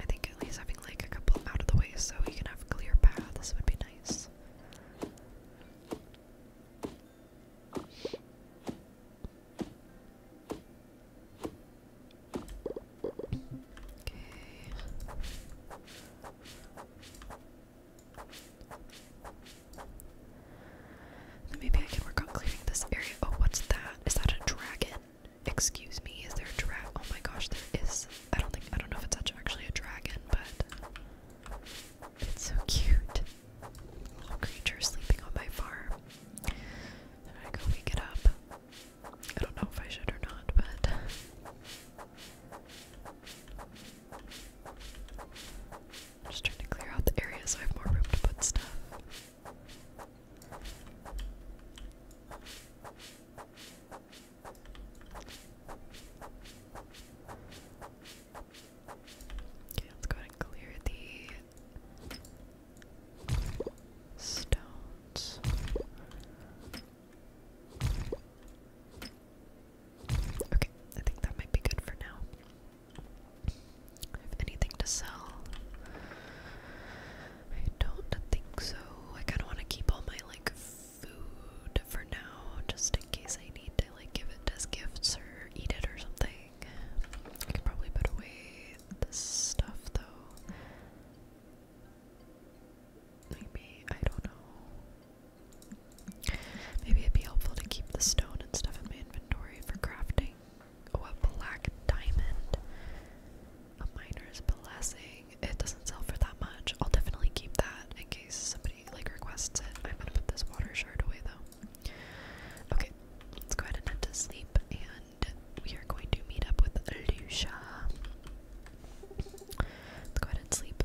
I think at least having like a couple out of the way so you can have clear paths would be nice maybe I can work on clearing this area. Oh, what's that? Is that a dragon? Excuse me, is there a dragon? Oh my gosh, there is. I don't think, I don't know if it's actually a dragon, but it's so cute. little creature sleeping on my farm. And I go wake it up. I don't know if I should or not, but. I'm just trying to clear out the area so I have more room to put stuff. Okay, let's go ahead and clear the stones. Okay, I think that might be good for now have anything to sell? I don't think so. I kind of want to keep all my like food for now, just in case I need to like give it as gifts or eat it or something. I could probably put away this stuff though. Maybe I don't know. Maybe it'd be helpful to keep the stone and stuff in my inventory for crafting oh, black diamond. A miner's blessing. It doesn't sell for that much. I'll definitely keep that in case somebody like requests it. I'm gonna put this water shard away though. Okay, let's go ahead and head to sleep, and we are going to meet up with Lucia. Let's go ahead and sleep.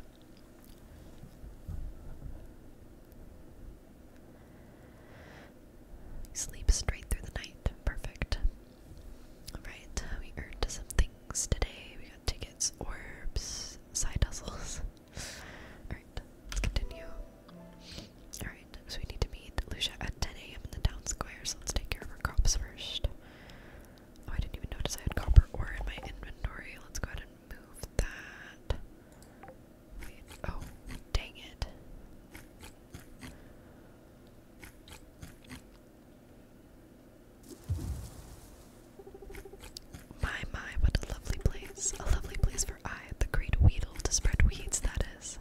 Sleep straight through the night. Perfect. Alright, we earned some things today. We got tickets, orbs, side hustles. Alright, let's continue. Alright, so we need to meet Lucia at 10 a.m. in the town square, so let's take care of our crops first. Oh, I didn't even notice I had copper ore in my inventory. Let's go ahead and move that oh, dang it. My, my, what a lovely place. A lovely place for I, the great Weedle, to spread weeds, that is.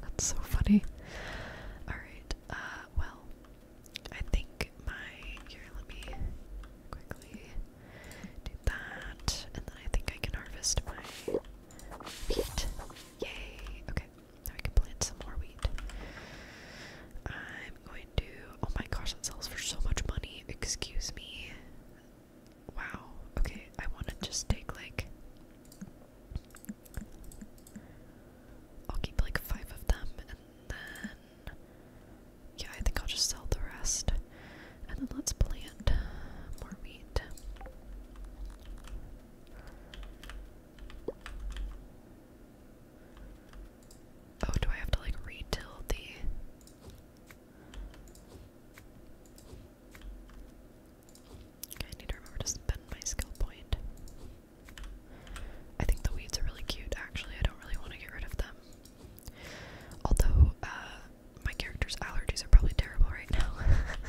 That's so funny. Alright, uh, well, I think my. Here, let me quickly do that, and then I think I can harvest my Wheat. Yay. Okay, now we can plant some more wheat. I'm going to. Oh my gosh, that sells for so much money. Excuse me. Wow. Okay, I want to just take like. I'll keep like five of them and then. Yeah, I think I'll just sell the rest. And then let's plant more wheat. Oh, do I have to like retill the I need to remember to spend my skill point. I think the weeds are really cute actually. I don't really want to get rid of them. Although, uh, my character's allergies are probably terrible right now.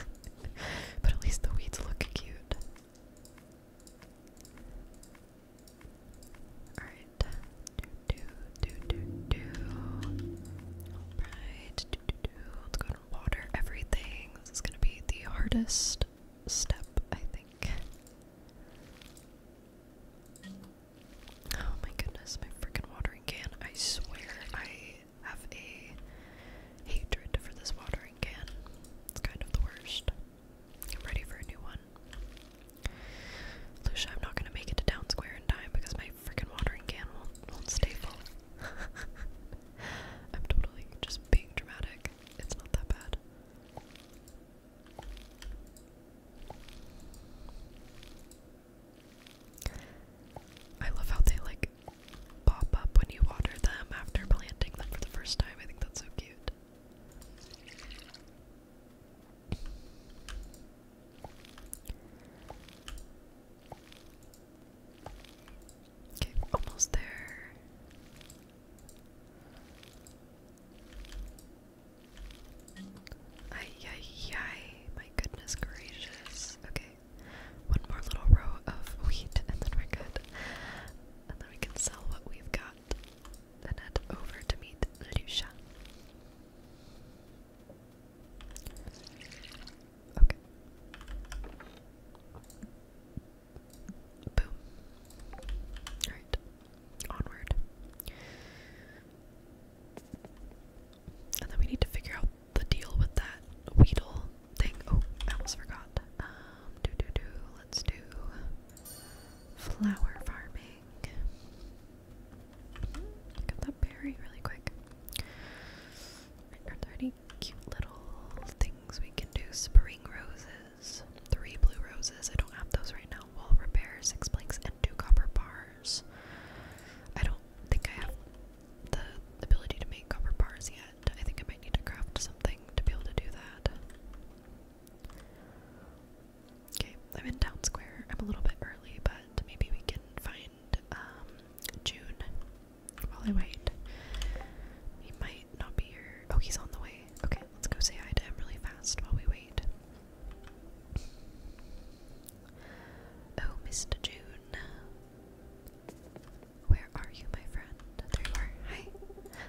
but at least the weeds look cute. Alright. Do do do do do. Alright. Do do do. Let's go and water everything. This is gonna be the hardest step, I think. Oh my goodness, my freaking watering can. I swear I have a hatred for this watering can. It's kind of the worst. I'm ready for a new one. Lucia, I'm not gonna make it to Town Square in time because my freaking watering can won't stay full. I'm totally just being dramatic. It's not that bad. I love how they like pop up when you water them after planting them for the first time. I think that's so cute. Okay, almost there. Ay, ay, ay, my goodness gracious. Okay. One more little row of wheat, and then we're good. And then we can sell what we've got and head over to meet Lucia. Okay. Boom. Alright. Onward. And then we need to figure out the deal with that Weedle thing. Oh, I almost forgot. Um, do do do. Let's do flower farming. Look that berry really quick. Are there any cute little things we can do? Spring roses. Three blue roses. I don't have those right now. Wall repair, six planks, and two copper bars. I don't think I have the ability to make copper bars yet. I think I might need to craft something to be able to do that. Okay, I'm in Town Square. I'm a little bit early, but maybe we can find um, June while I wait. He might not be here. Oh, he's on the way. Okay, let's go say hi to him really fast while we wait. Oh, Mr. June. Where are you, my friend? There you are. Hi.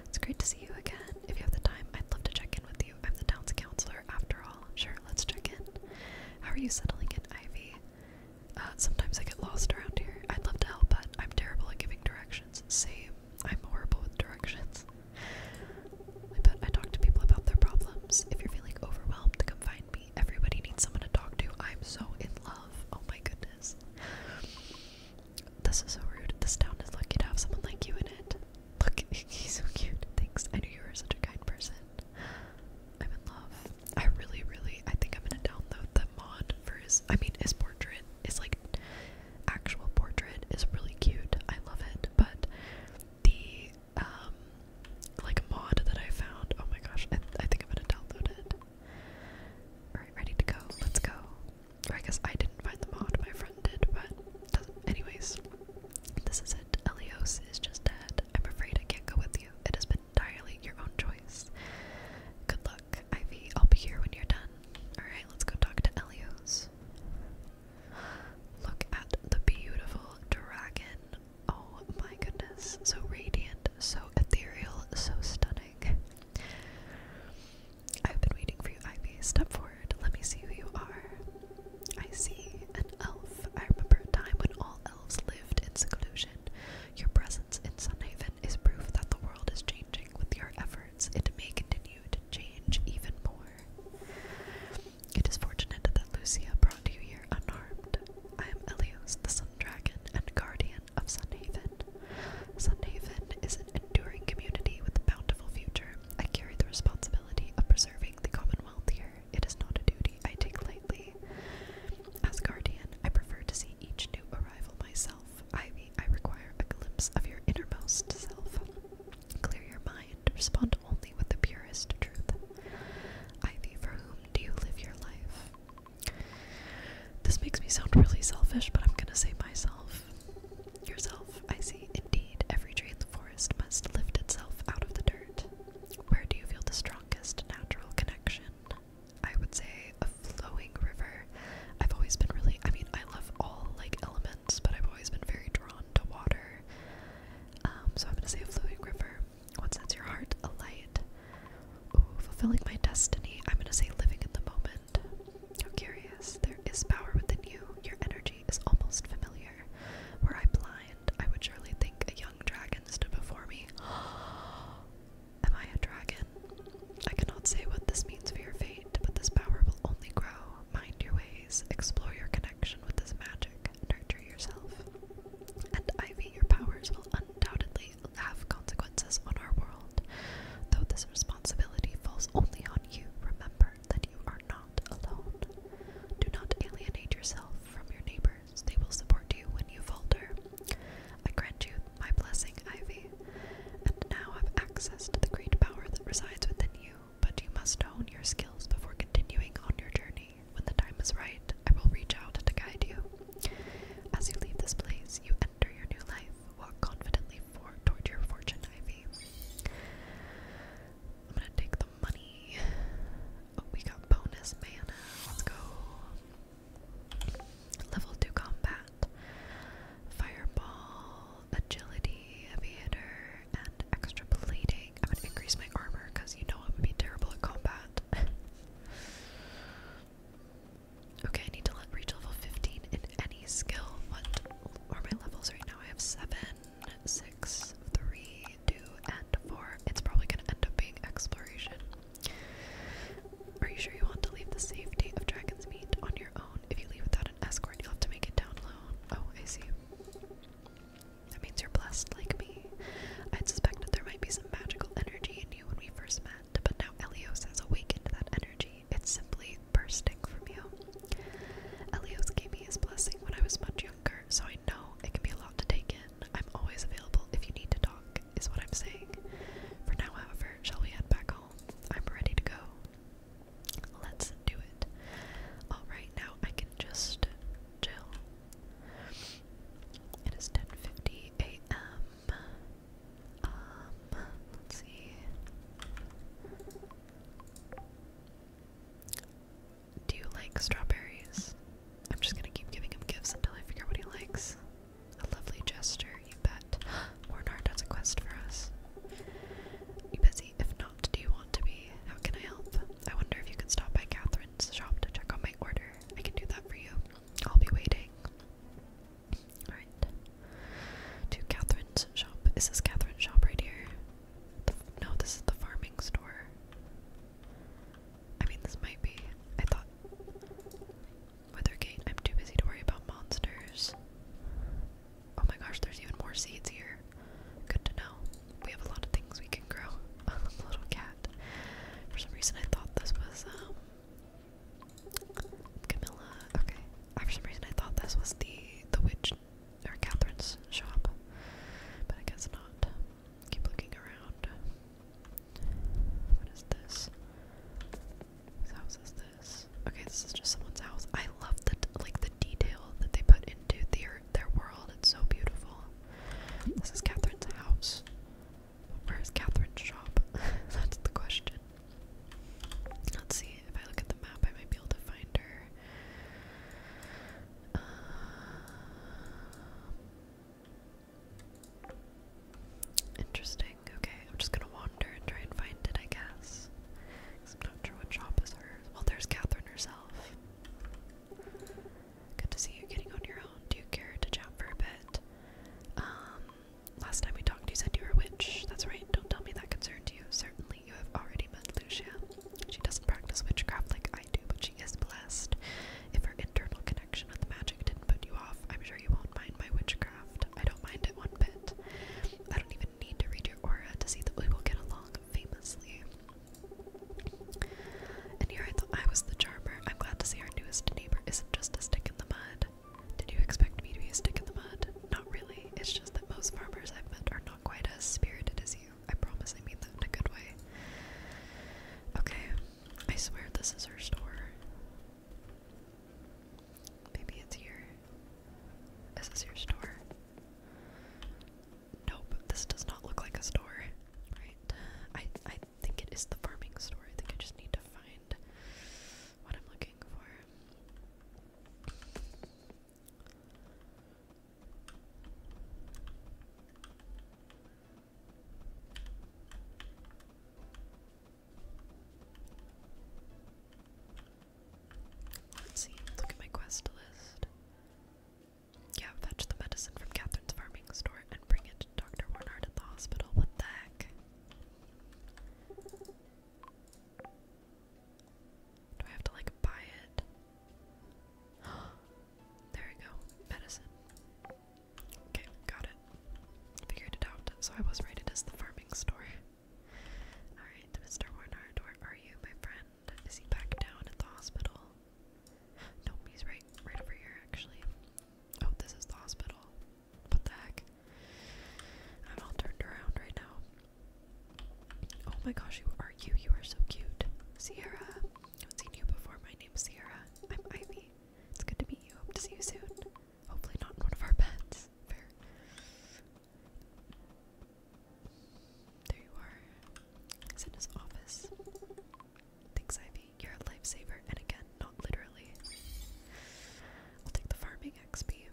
It's great to see you again. If you have the time, I'd love to check in with you. I'm the town's counselor, after all. Sure, let's check in. How are you settling in, Ivy? Uh, sometimes I get lost around here. I'd love to help, but I'm terrible at giving directions. Same. I'm horrible with directions. I talk to people about their problems. If you're feeling overwhelmed, to come find Everybody needs someone to talk to. I'm so in love. Oh my goodness. This is so rude. This town is lucky to have someone like you in it. Look, he's so cute. Thanks. I knew you were such a kind person. I'm in love. I really, really, I think I'm gonna download the mod for his, I mean, his portrait, is like actual portrait is really cute. I love it, but the, um, like a mod that I found. Oh my gosh, I, think I'm gonna download it. Alright, ready to go. Let's go. I guess I didn't find the mod, my friend did, but Anyways, this is it. Elios is just dead. I'm afraid I can't go with you. It has been entirely your own choice. Good luck, Ivy. I'll be here when you're done. Alright, let's go talk to Elios. Look at the beautiful dragon Oh my goodness, so radiant, so ethereal, so stunning. I've been waiting for you, i Ivy. Step forward, let me see who you are. I see an elf. I remember a time when all elves lived in seclusion. Your presence in Sunhaven is proof that the world is changing with your efforts. It may continue to change even more. It is fortunate that Lucia brought you here unharmed. I am Elios, the Sun Dragon and guardian of Sunhaven. Sunhaven is an enduring community with a bountiful future. I carry the responsibility of preserving the Commonwealth here. It is not a duty I take lightly. As guardian, I prefer to see each new arrival myself. Ivy, I require a glimpse of your innermost self. Clear your mind, respond only with the purest truth. Ivy, for whom do you live your life? This makes me sound really selfish, but I'm gonna say myself. Yourself, I see. Indeed, every tree in the forest must lift itself out of the dirt. Where do you feel the strongest natural connection? I would say a flowing river. I've always been really, I mean, I love all like elements, but I've always been very drawn to water. Um, so I'm gonna say a flowing river. What sets your heart alight? Ooh, fulfilling my destiny. I'm gonna say living in the moment. How curious. There is power within you. Your energy is almost familiar. Were I blind, I would surely think a young dragon stood before me. Am I a dragon? I cannot say what this means for your fate, but this power will only grow. Mind your ways. Explore your connection with this magic nurture yourself, and Ivy, your powers will undoubtedly have consequences on our world. Though this responsibility falls only on you, remember that you are not alone. Do not alienate yourself from your neighbors, they will support you when you falter. I grant you my blessing, Ivy, and now have access to the great power that resides within you, but you must hone your skills before continuing on your journey. When the time is right, I will reach out to guide you. As you leave this place, you enter your new life. Walk confidently for toward your fortune, Ivy. I'm gonna take the money. Oh, we got bonus mana. Let's go. Level 2 combat. Fireball, agility, heavy and extra plating. I'm gonna increase my armor because you know I'm be terrible at combat. Okay, I need to reach level 15 in any skill. What are my levels right now? I have 7, 6, 3, 2, and 4. It's probably going to end up being exploration. Are you sure you want to leave the safety of Dragon's Meat on your own? If you leave without an escort, you'll have to make it down alone. Oh, I see. That means you're blessed like me. I'd suspected there might be some magical energy in you when we first met, but now Elios has awakened that energy. It's simply bursting from you. Elios gave me his blessing when I was much younger, so I know it can be a lot to take in. I'm always available if you need to talk, is what I'm saying. For now, however, shall we head back home? I'm ready to go. Let's do it. Alright, now I can just chill it is 10:50 a.m. Um, let's see. Do you like strawberries? I'm just gonna keep giving him gifts until I figure what he likes. A lovely gesture, you bet. Mornard has a quest for us. You busy? If not, do you want to be? How can I help? I wonder if you could stop by Catherine's shop to check on my order. I can do that for you. I'll be waiting. Alright. To Catherine's shop. Is this Catherine's shop right here? no, this is the farming store. I mean, this might be. I thought. Weathergate. I'm too busy to worry about monsters. Oh my gosh, there's even more seeds here. Good to know. We have a lot of things we can grow. little cat. For some reason, I thought this was um, Camilla. Okay, uh, for some reason, I thought this was the the witch or Catherine's shop, but I guess not. Keep looking around. What is this? Whose house is this? Okay, this is just someone's house. I love the like the detail that they put into their their world. It's so beautiful. This is Catherine's house. Where's Catherine's shop? That's the question. Let's see, if I look at the map, I might be able to find her. Uh, interesting. Okay, I'm just gonna wander and try and find it, I guess. I'm not sure what shop is hers. Well, there's Catherine herself. Good to see you getting on your own. Do you care to chat for a bit? Um, last time we talked, you said you were a witch. That's right. Don't tell me that concerned you. Certainly, you have already met Lucia. She doesn't practice witchcraft like I do, but she is blessed. If her internal connection with magic didn't put you off, I'm sure you won't mind my witchcraft. I don't mind it one bit. I don't even need to read your aura to see that we will get along famously. And here I thought I was the charmer. I'm glad to see our newest neighbor isn't just a stick in the mud. Did you expect me to be a stick in the mud? Not really. It's just that most farmers I've met are not quite as spirited as you. I promise I mean that in a good way. Okay, I swear this is her store. Maybe it's here. Is this your store? Nope, this does not look like a store. Right. I I I think it is the farming store. I think I just need to find what I'm looking for. Let's see, look at my quest list. Yeah, fetch the medicine from Catherine's farming store and bring it Dr. Warnard at the hospital. What the heck? Do I have to like buy it? there we go. Medicine. Okay, got it. Figured it out. So I was right, it is the farming store. Alright, Mr. Warnard, where are you, my friend? Is he back down at the hospital? Nope, he's right, right over here, actually. Oh, this is the hospital. What the heck? I'm all turned around right now. Oh my gosh, who are you? You are so cute. Sierra. I haven't seen you before. My name's Sierra. I'm Ivy. It's good to meet you. Hope to see you soon. Hopefully not in one of our beds. Fair. There you are. It's in his office. Thanks, Ivy you're a lifesaver, and again, not literally. I'll take the farming XP.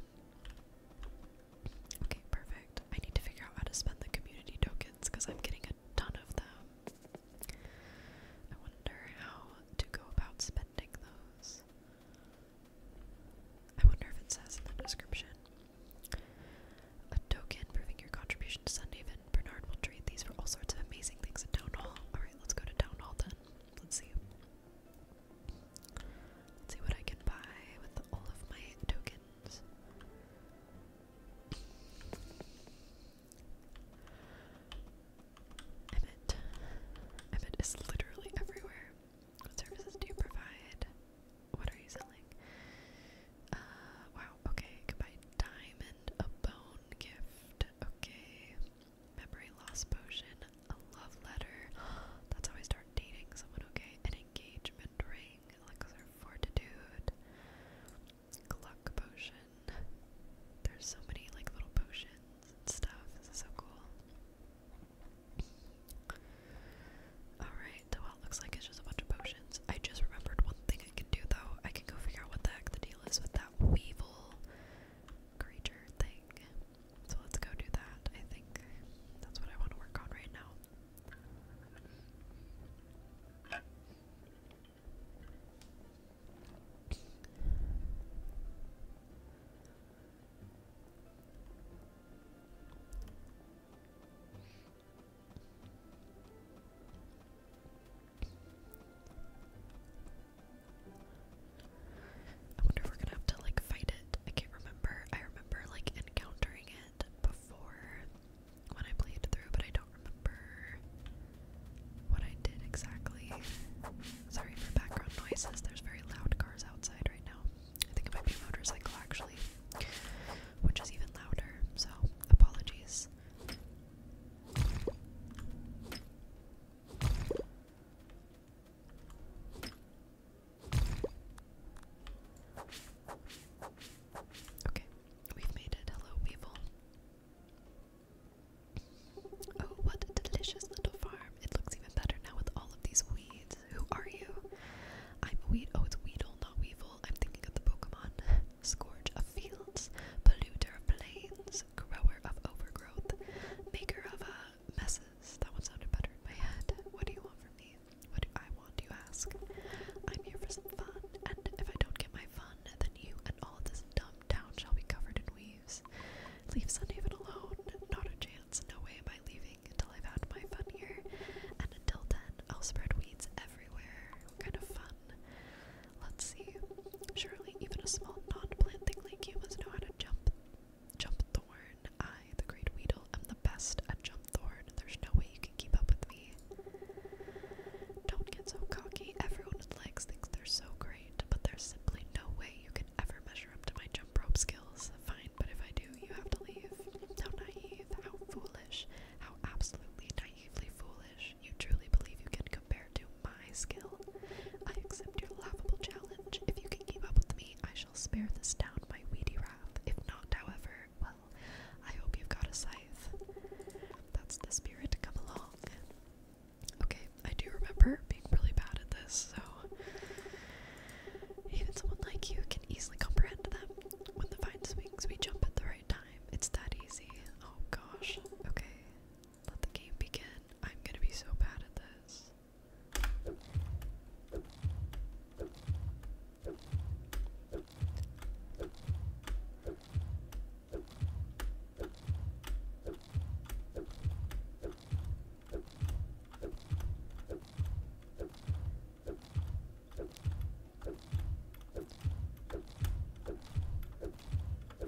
Okay, perfect. I need to figure out how to spend the community tokens because I'm getting a ton of them. I wonder how to go about spending those. I wonder if it says in the description. A token proving your contribution to Sunday Bernard will trade these for all sorts of amazing things at Town Hall. Alright, let's go to Town Hall then. Let's see. Let's see what I can buy with all of my tokens. Emmett. Emmett is literally everywhere. What services do you provide? What are you selling? Uh, wow, okay. Goodbye. Diamond, a bone gift. Okay. Memory loss potion. A love letter. That's how I start dating someone, okay? An engagement ring. Elixir fortitude. Gluck potion. There's so many like little potions and stuff. This is so cool. Alright, well it looks like it's just a bunch of potions. I just remembered one thing. I can do though. I can go figure out what the heck the deal is with that weevil creature thing. So let's go do that. I think that's what I want to work on right now. I wonder if we're gonna have to like fight it. I can't remember. I remember like encountering it before when I played through, but I don't remember what I did exactly. Sorry for background noises. There's very loud cars outside right now. I think it might be a motorcycle actually, which is even louder. So apologies. Okay, we've made it. Hello, Weevil. Oh, what a delicious little farm. It looks even better now with all of these weeds. Who are you? I'm a weed. Oh, it's Weedle, not Weevil. I'm thinking of the Pokemon. scourge of fields, polluter of plains, grower of overgrowth, maker of uh, messes. That one sounded better in my head. What do you want from me? What do I want, you ask? I'm here for some fun, and if I don't get my fun, then you and all this dumb town shall be covered in weeds. Leave Sunhaven alone. Not a chance, no way am I leaving until I've had my fun here. And until then, I'll spread weeds everywhere. kind of fun? Let's see. Surely even a small non-plant thing like you must know how to jump. Jump thorn. I, the great Weedle, am the best at jump thorn. There's no way you can keep up with me. Don't get so cocky. Everyone with legs thinks they're so great, but there's simply no way you can ever measure up to my jump rope skills. Fine, but if I do, you have to leave. How naive, how foolish, how absolutely naive foolish. You truly believe you can compare to my skill. I accept your laughable challenge. If you can keep up with me, I shall spare this down my weedy wrath. If not, however, well, I hope you've got a scythe. That's the spirit. Come along. Okay, I do remember being really bad at this, so even someone like you can easily comprehend them. When the vine swings, we jump at the right time. It's that easy. Oh gosh. Okay. Let the game begin. I'm gonna be so bad at this.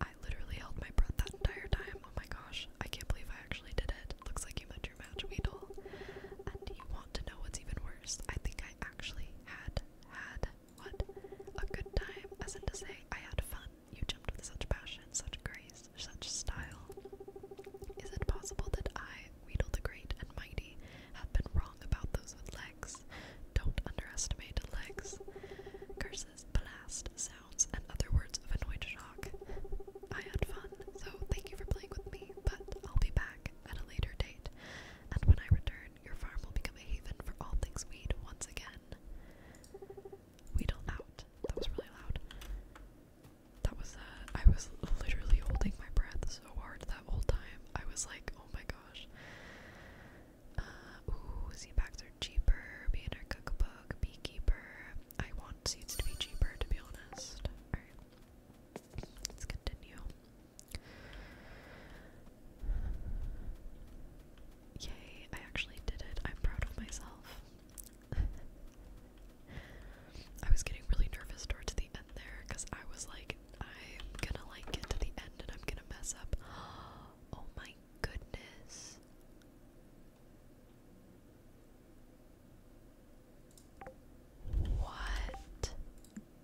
I literally held my breath that entire time. Oh my gosh, I can't believe I actually did it. Looks like you met your match, Weedle. And you want to know what's even worse? I think I actually had had what? A good time, as in to say, I had fun. You jumped with such passion, such grace, such style. Is it possible that I, Weedle the Great and Mighty, have been wrong about those with legs? Don't underestimate legs. Curses, blast, sounds, and other words of annoyed shock. I had fun, so thank you for playing with me, but I'll be back at a later date. And when I return, your farm will become a haven for all things weed once again. Weedle out. That was really loud. That was, uh, I was literally holding my breath so hard that whole time. I was like, oh my gosh. Uh, ooh, seed packs are cheaper. Being our cookbook, beekeeper. I want seeds to be cheaper, to be honest. Alright, let's continue. Yay, I actually did it. I'm proud of myself. I was getting really nervous towards the end there because I was like, I'm gonna like get to the end and I'm gonna mess up. Oh my goodness. What?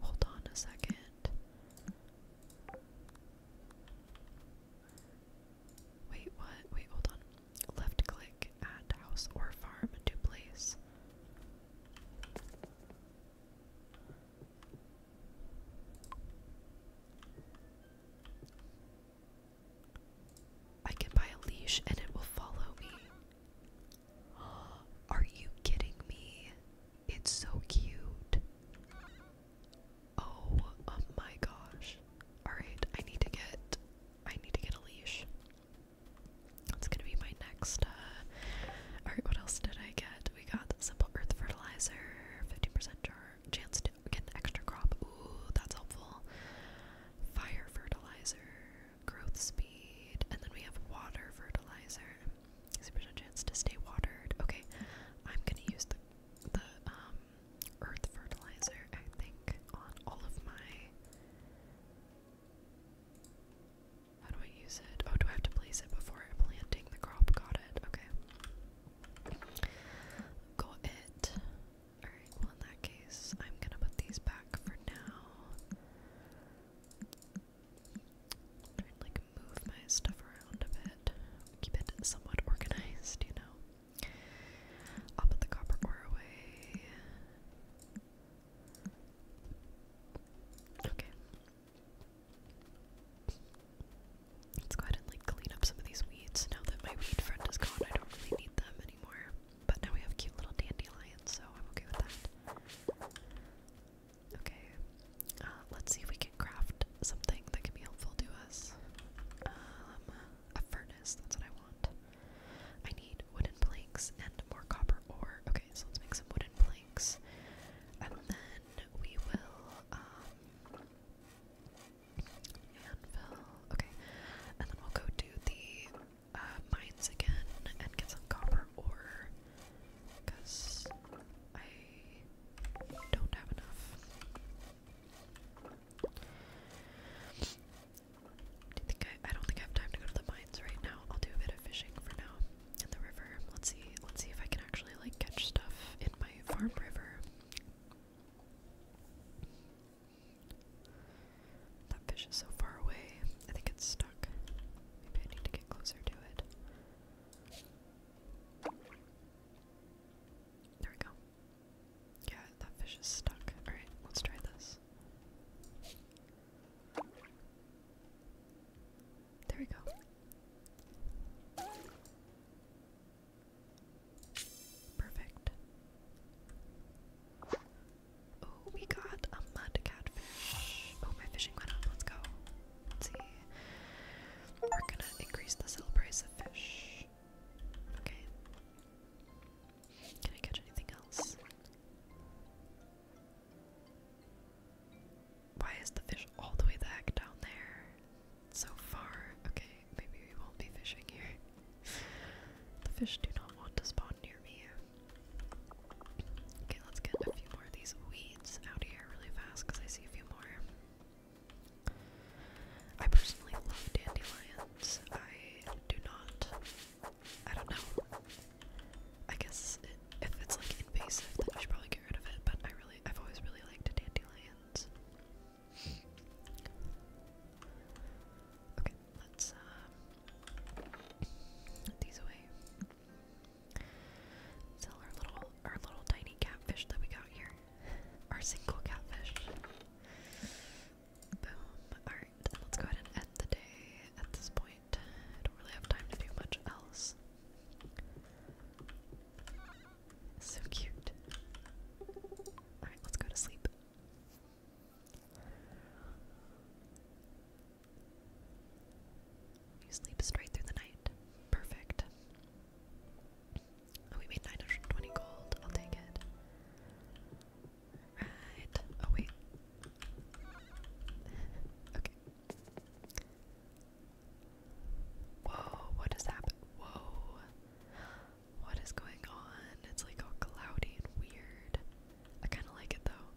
Hold on a second. Wait, what? Wait, hold on. Left click at house or farm to place. I can buy a leash and it will follow me. Are you kidding me? It's so cute. Oh, oh, my gosh. Alright, I need to get I need to get a leash. That's gonna be my next uh alright, what else did I get? we got the simple earth fertilizer, 15% chance to get an extra crop. Ooh, that's helpful. Fire fertilizer, growth speed, and then we have water fertilizer. 60% chance to stay watered. Okay, I'm gonna use the the um, earth fertilizer, I think, on all of my how do I use it? Oh, do I have to place it before planting the crop? Got it. Okay. Got it. Alright, well, in that case, I'm gonna put these back for now. like move my stuff around a bit. Keep it somewhat organized, you know. I'll put the copper ore away. Okay. Let's go ahead and like clean up some of these weeds. Now that my weed friend is gone, I don't really need them anymore. But now we have cute little dandelions, so I'm okay with that. Okay, uh, let's see if we can craft something that can be helpful to us. Um, a furnace, that's what I want. I need wooden planks and more copper ore. Okay, so let's make some wooden planks. And then we will, um, okay, and then we'll go to the, uh, mines again and get some copper ore, because I don't have enough. Do you think I, I don't think I have time to go to the mines right now. I'll do a bit of fishing for now in the river. Let's see. Let's see if I can actually like catch stuff in my farm river. That fish is so far away. I think it's stuck. Maybe I need to get closer to it. There we go. Yeah, that fish is stuck. Alright, let's try this. There we go. Perfect. Oh, we got a mud catfish. Oh, my fishing went up. Let's go. Let's see. We're gonna increase the sell fish. Okay. Can I catch anything else? Why is the fish all the way the heck down there? So far. Okay, maybe we won't be fishing here. the fish do not want to spawn near me. Okay, let's get a few more of these weeds out here really fast because I see a few more. I personally love dandelions. I do not. I don't know. I guess if it's like invasive, then I should probably get rid of it. But I really, I've always really liked dandelions. Okay, let's uh, put these away. Sell our little, our little tiny catfish that we got here. Our single catfish. Boom. Alright, let's go ahead and end the day at this point. I don't really have time to do much else. So cute. Alright, let's go to sleep. You sleep straight through the night. Perfect. Oh, we made 920 gold. I'll take it. Right. Oh, wait. okay. Whoa, what is happening? Whoa. What is going on? It's like all cloudy and weird. I kind of like it though.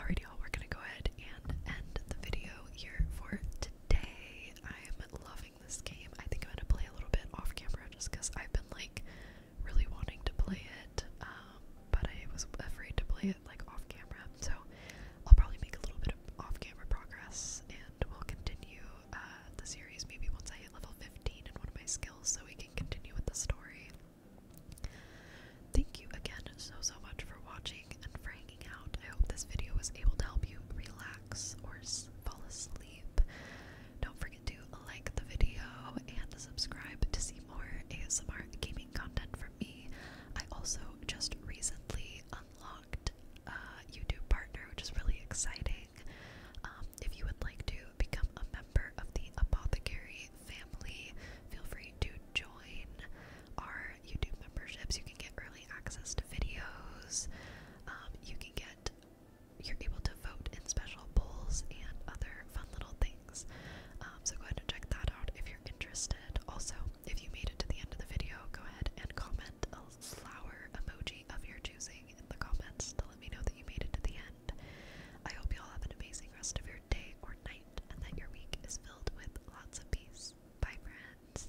Alrighty, y'all, we're gonna go ahead and end the video here for today. I am loving this game. I think I'm gonna play a little bit off camera just because I've been like really wanting to play it, um, but I was afraid to play it like off camera. So I'll probably make a little bit of off-camera progress, and we'll continue uh, the series maybe once I hit level 15 in one of my skills so we can continue with the story. Thank you again so, so much for watching and for hanging out. I hope this video was able to help you relax or fall asleep. Don't forget to like the video and subscribe to see more ASMR gaming content from me. I also just recently uh, unlocked uh, YouTube partner, which is really exciting. Um, if you would like to become a member of the Apothecary family, feel free to join our YouTube memberships. You can get early access to videos. Um, you can get you're able to vote in special polls and other fun little things. Um, so go ahead and check that if you're interested. Also, if you made it to the end of the video, go ahead and comment a flower emoji of your choosing in the comments to let me know that you made it to the end. I hope you all have an amazing rest of your day or night and that your week is filled with lots of peace. Bye, friends.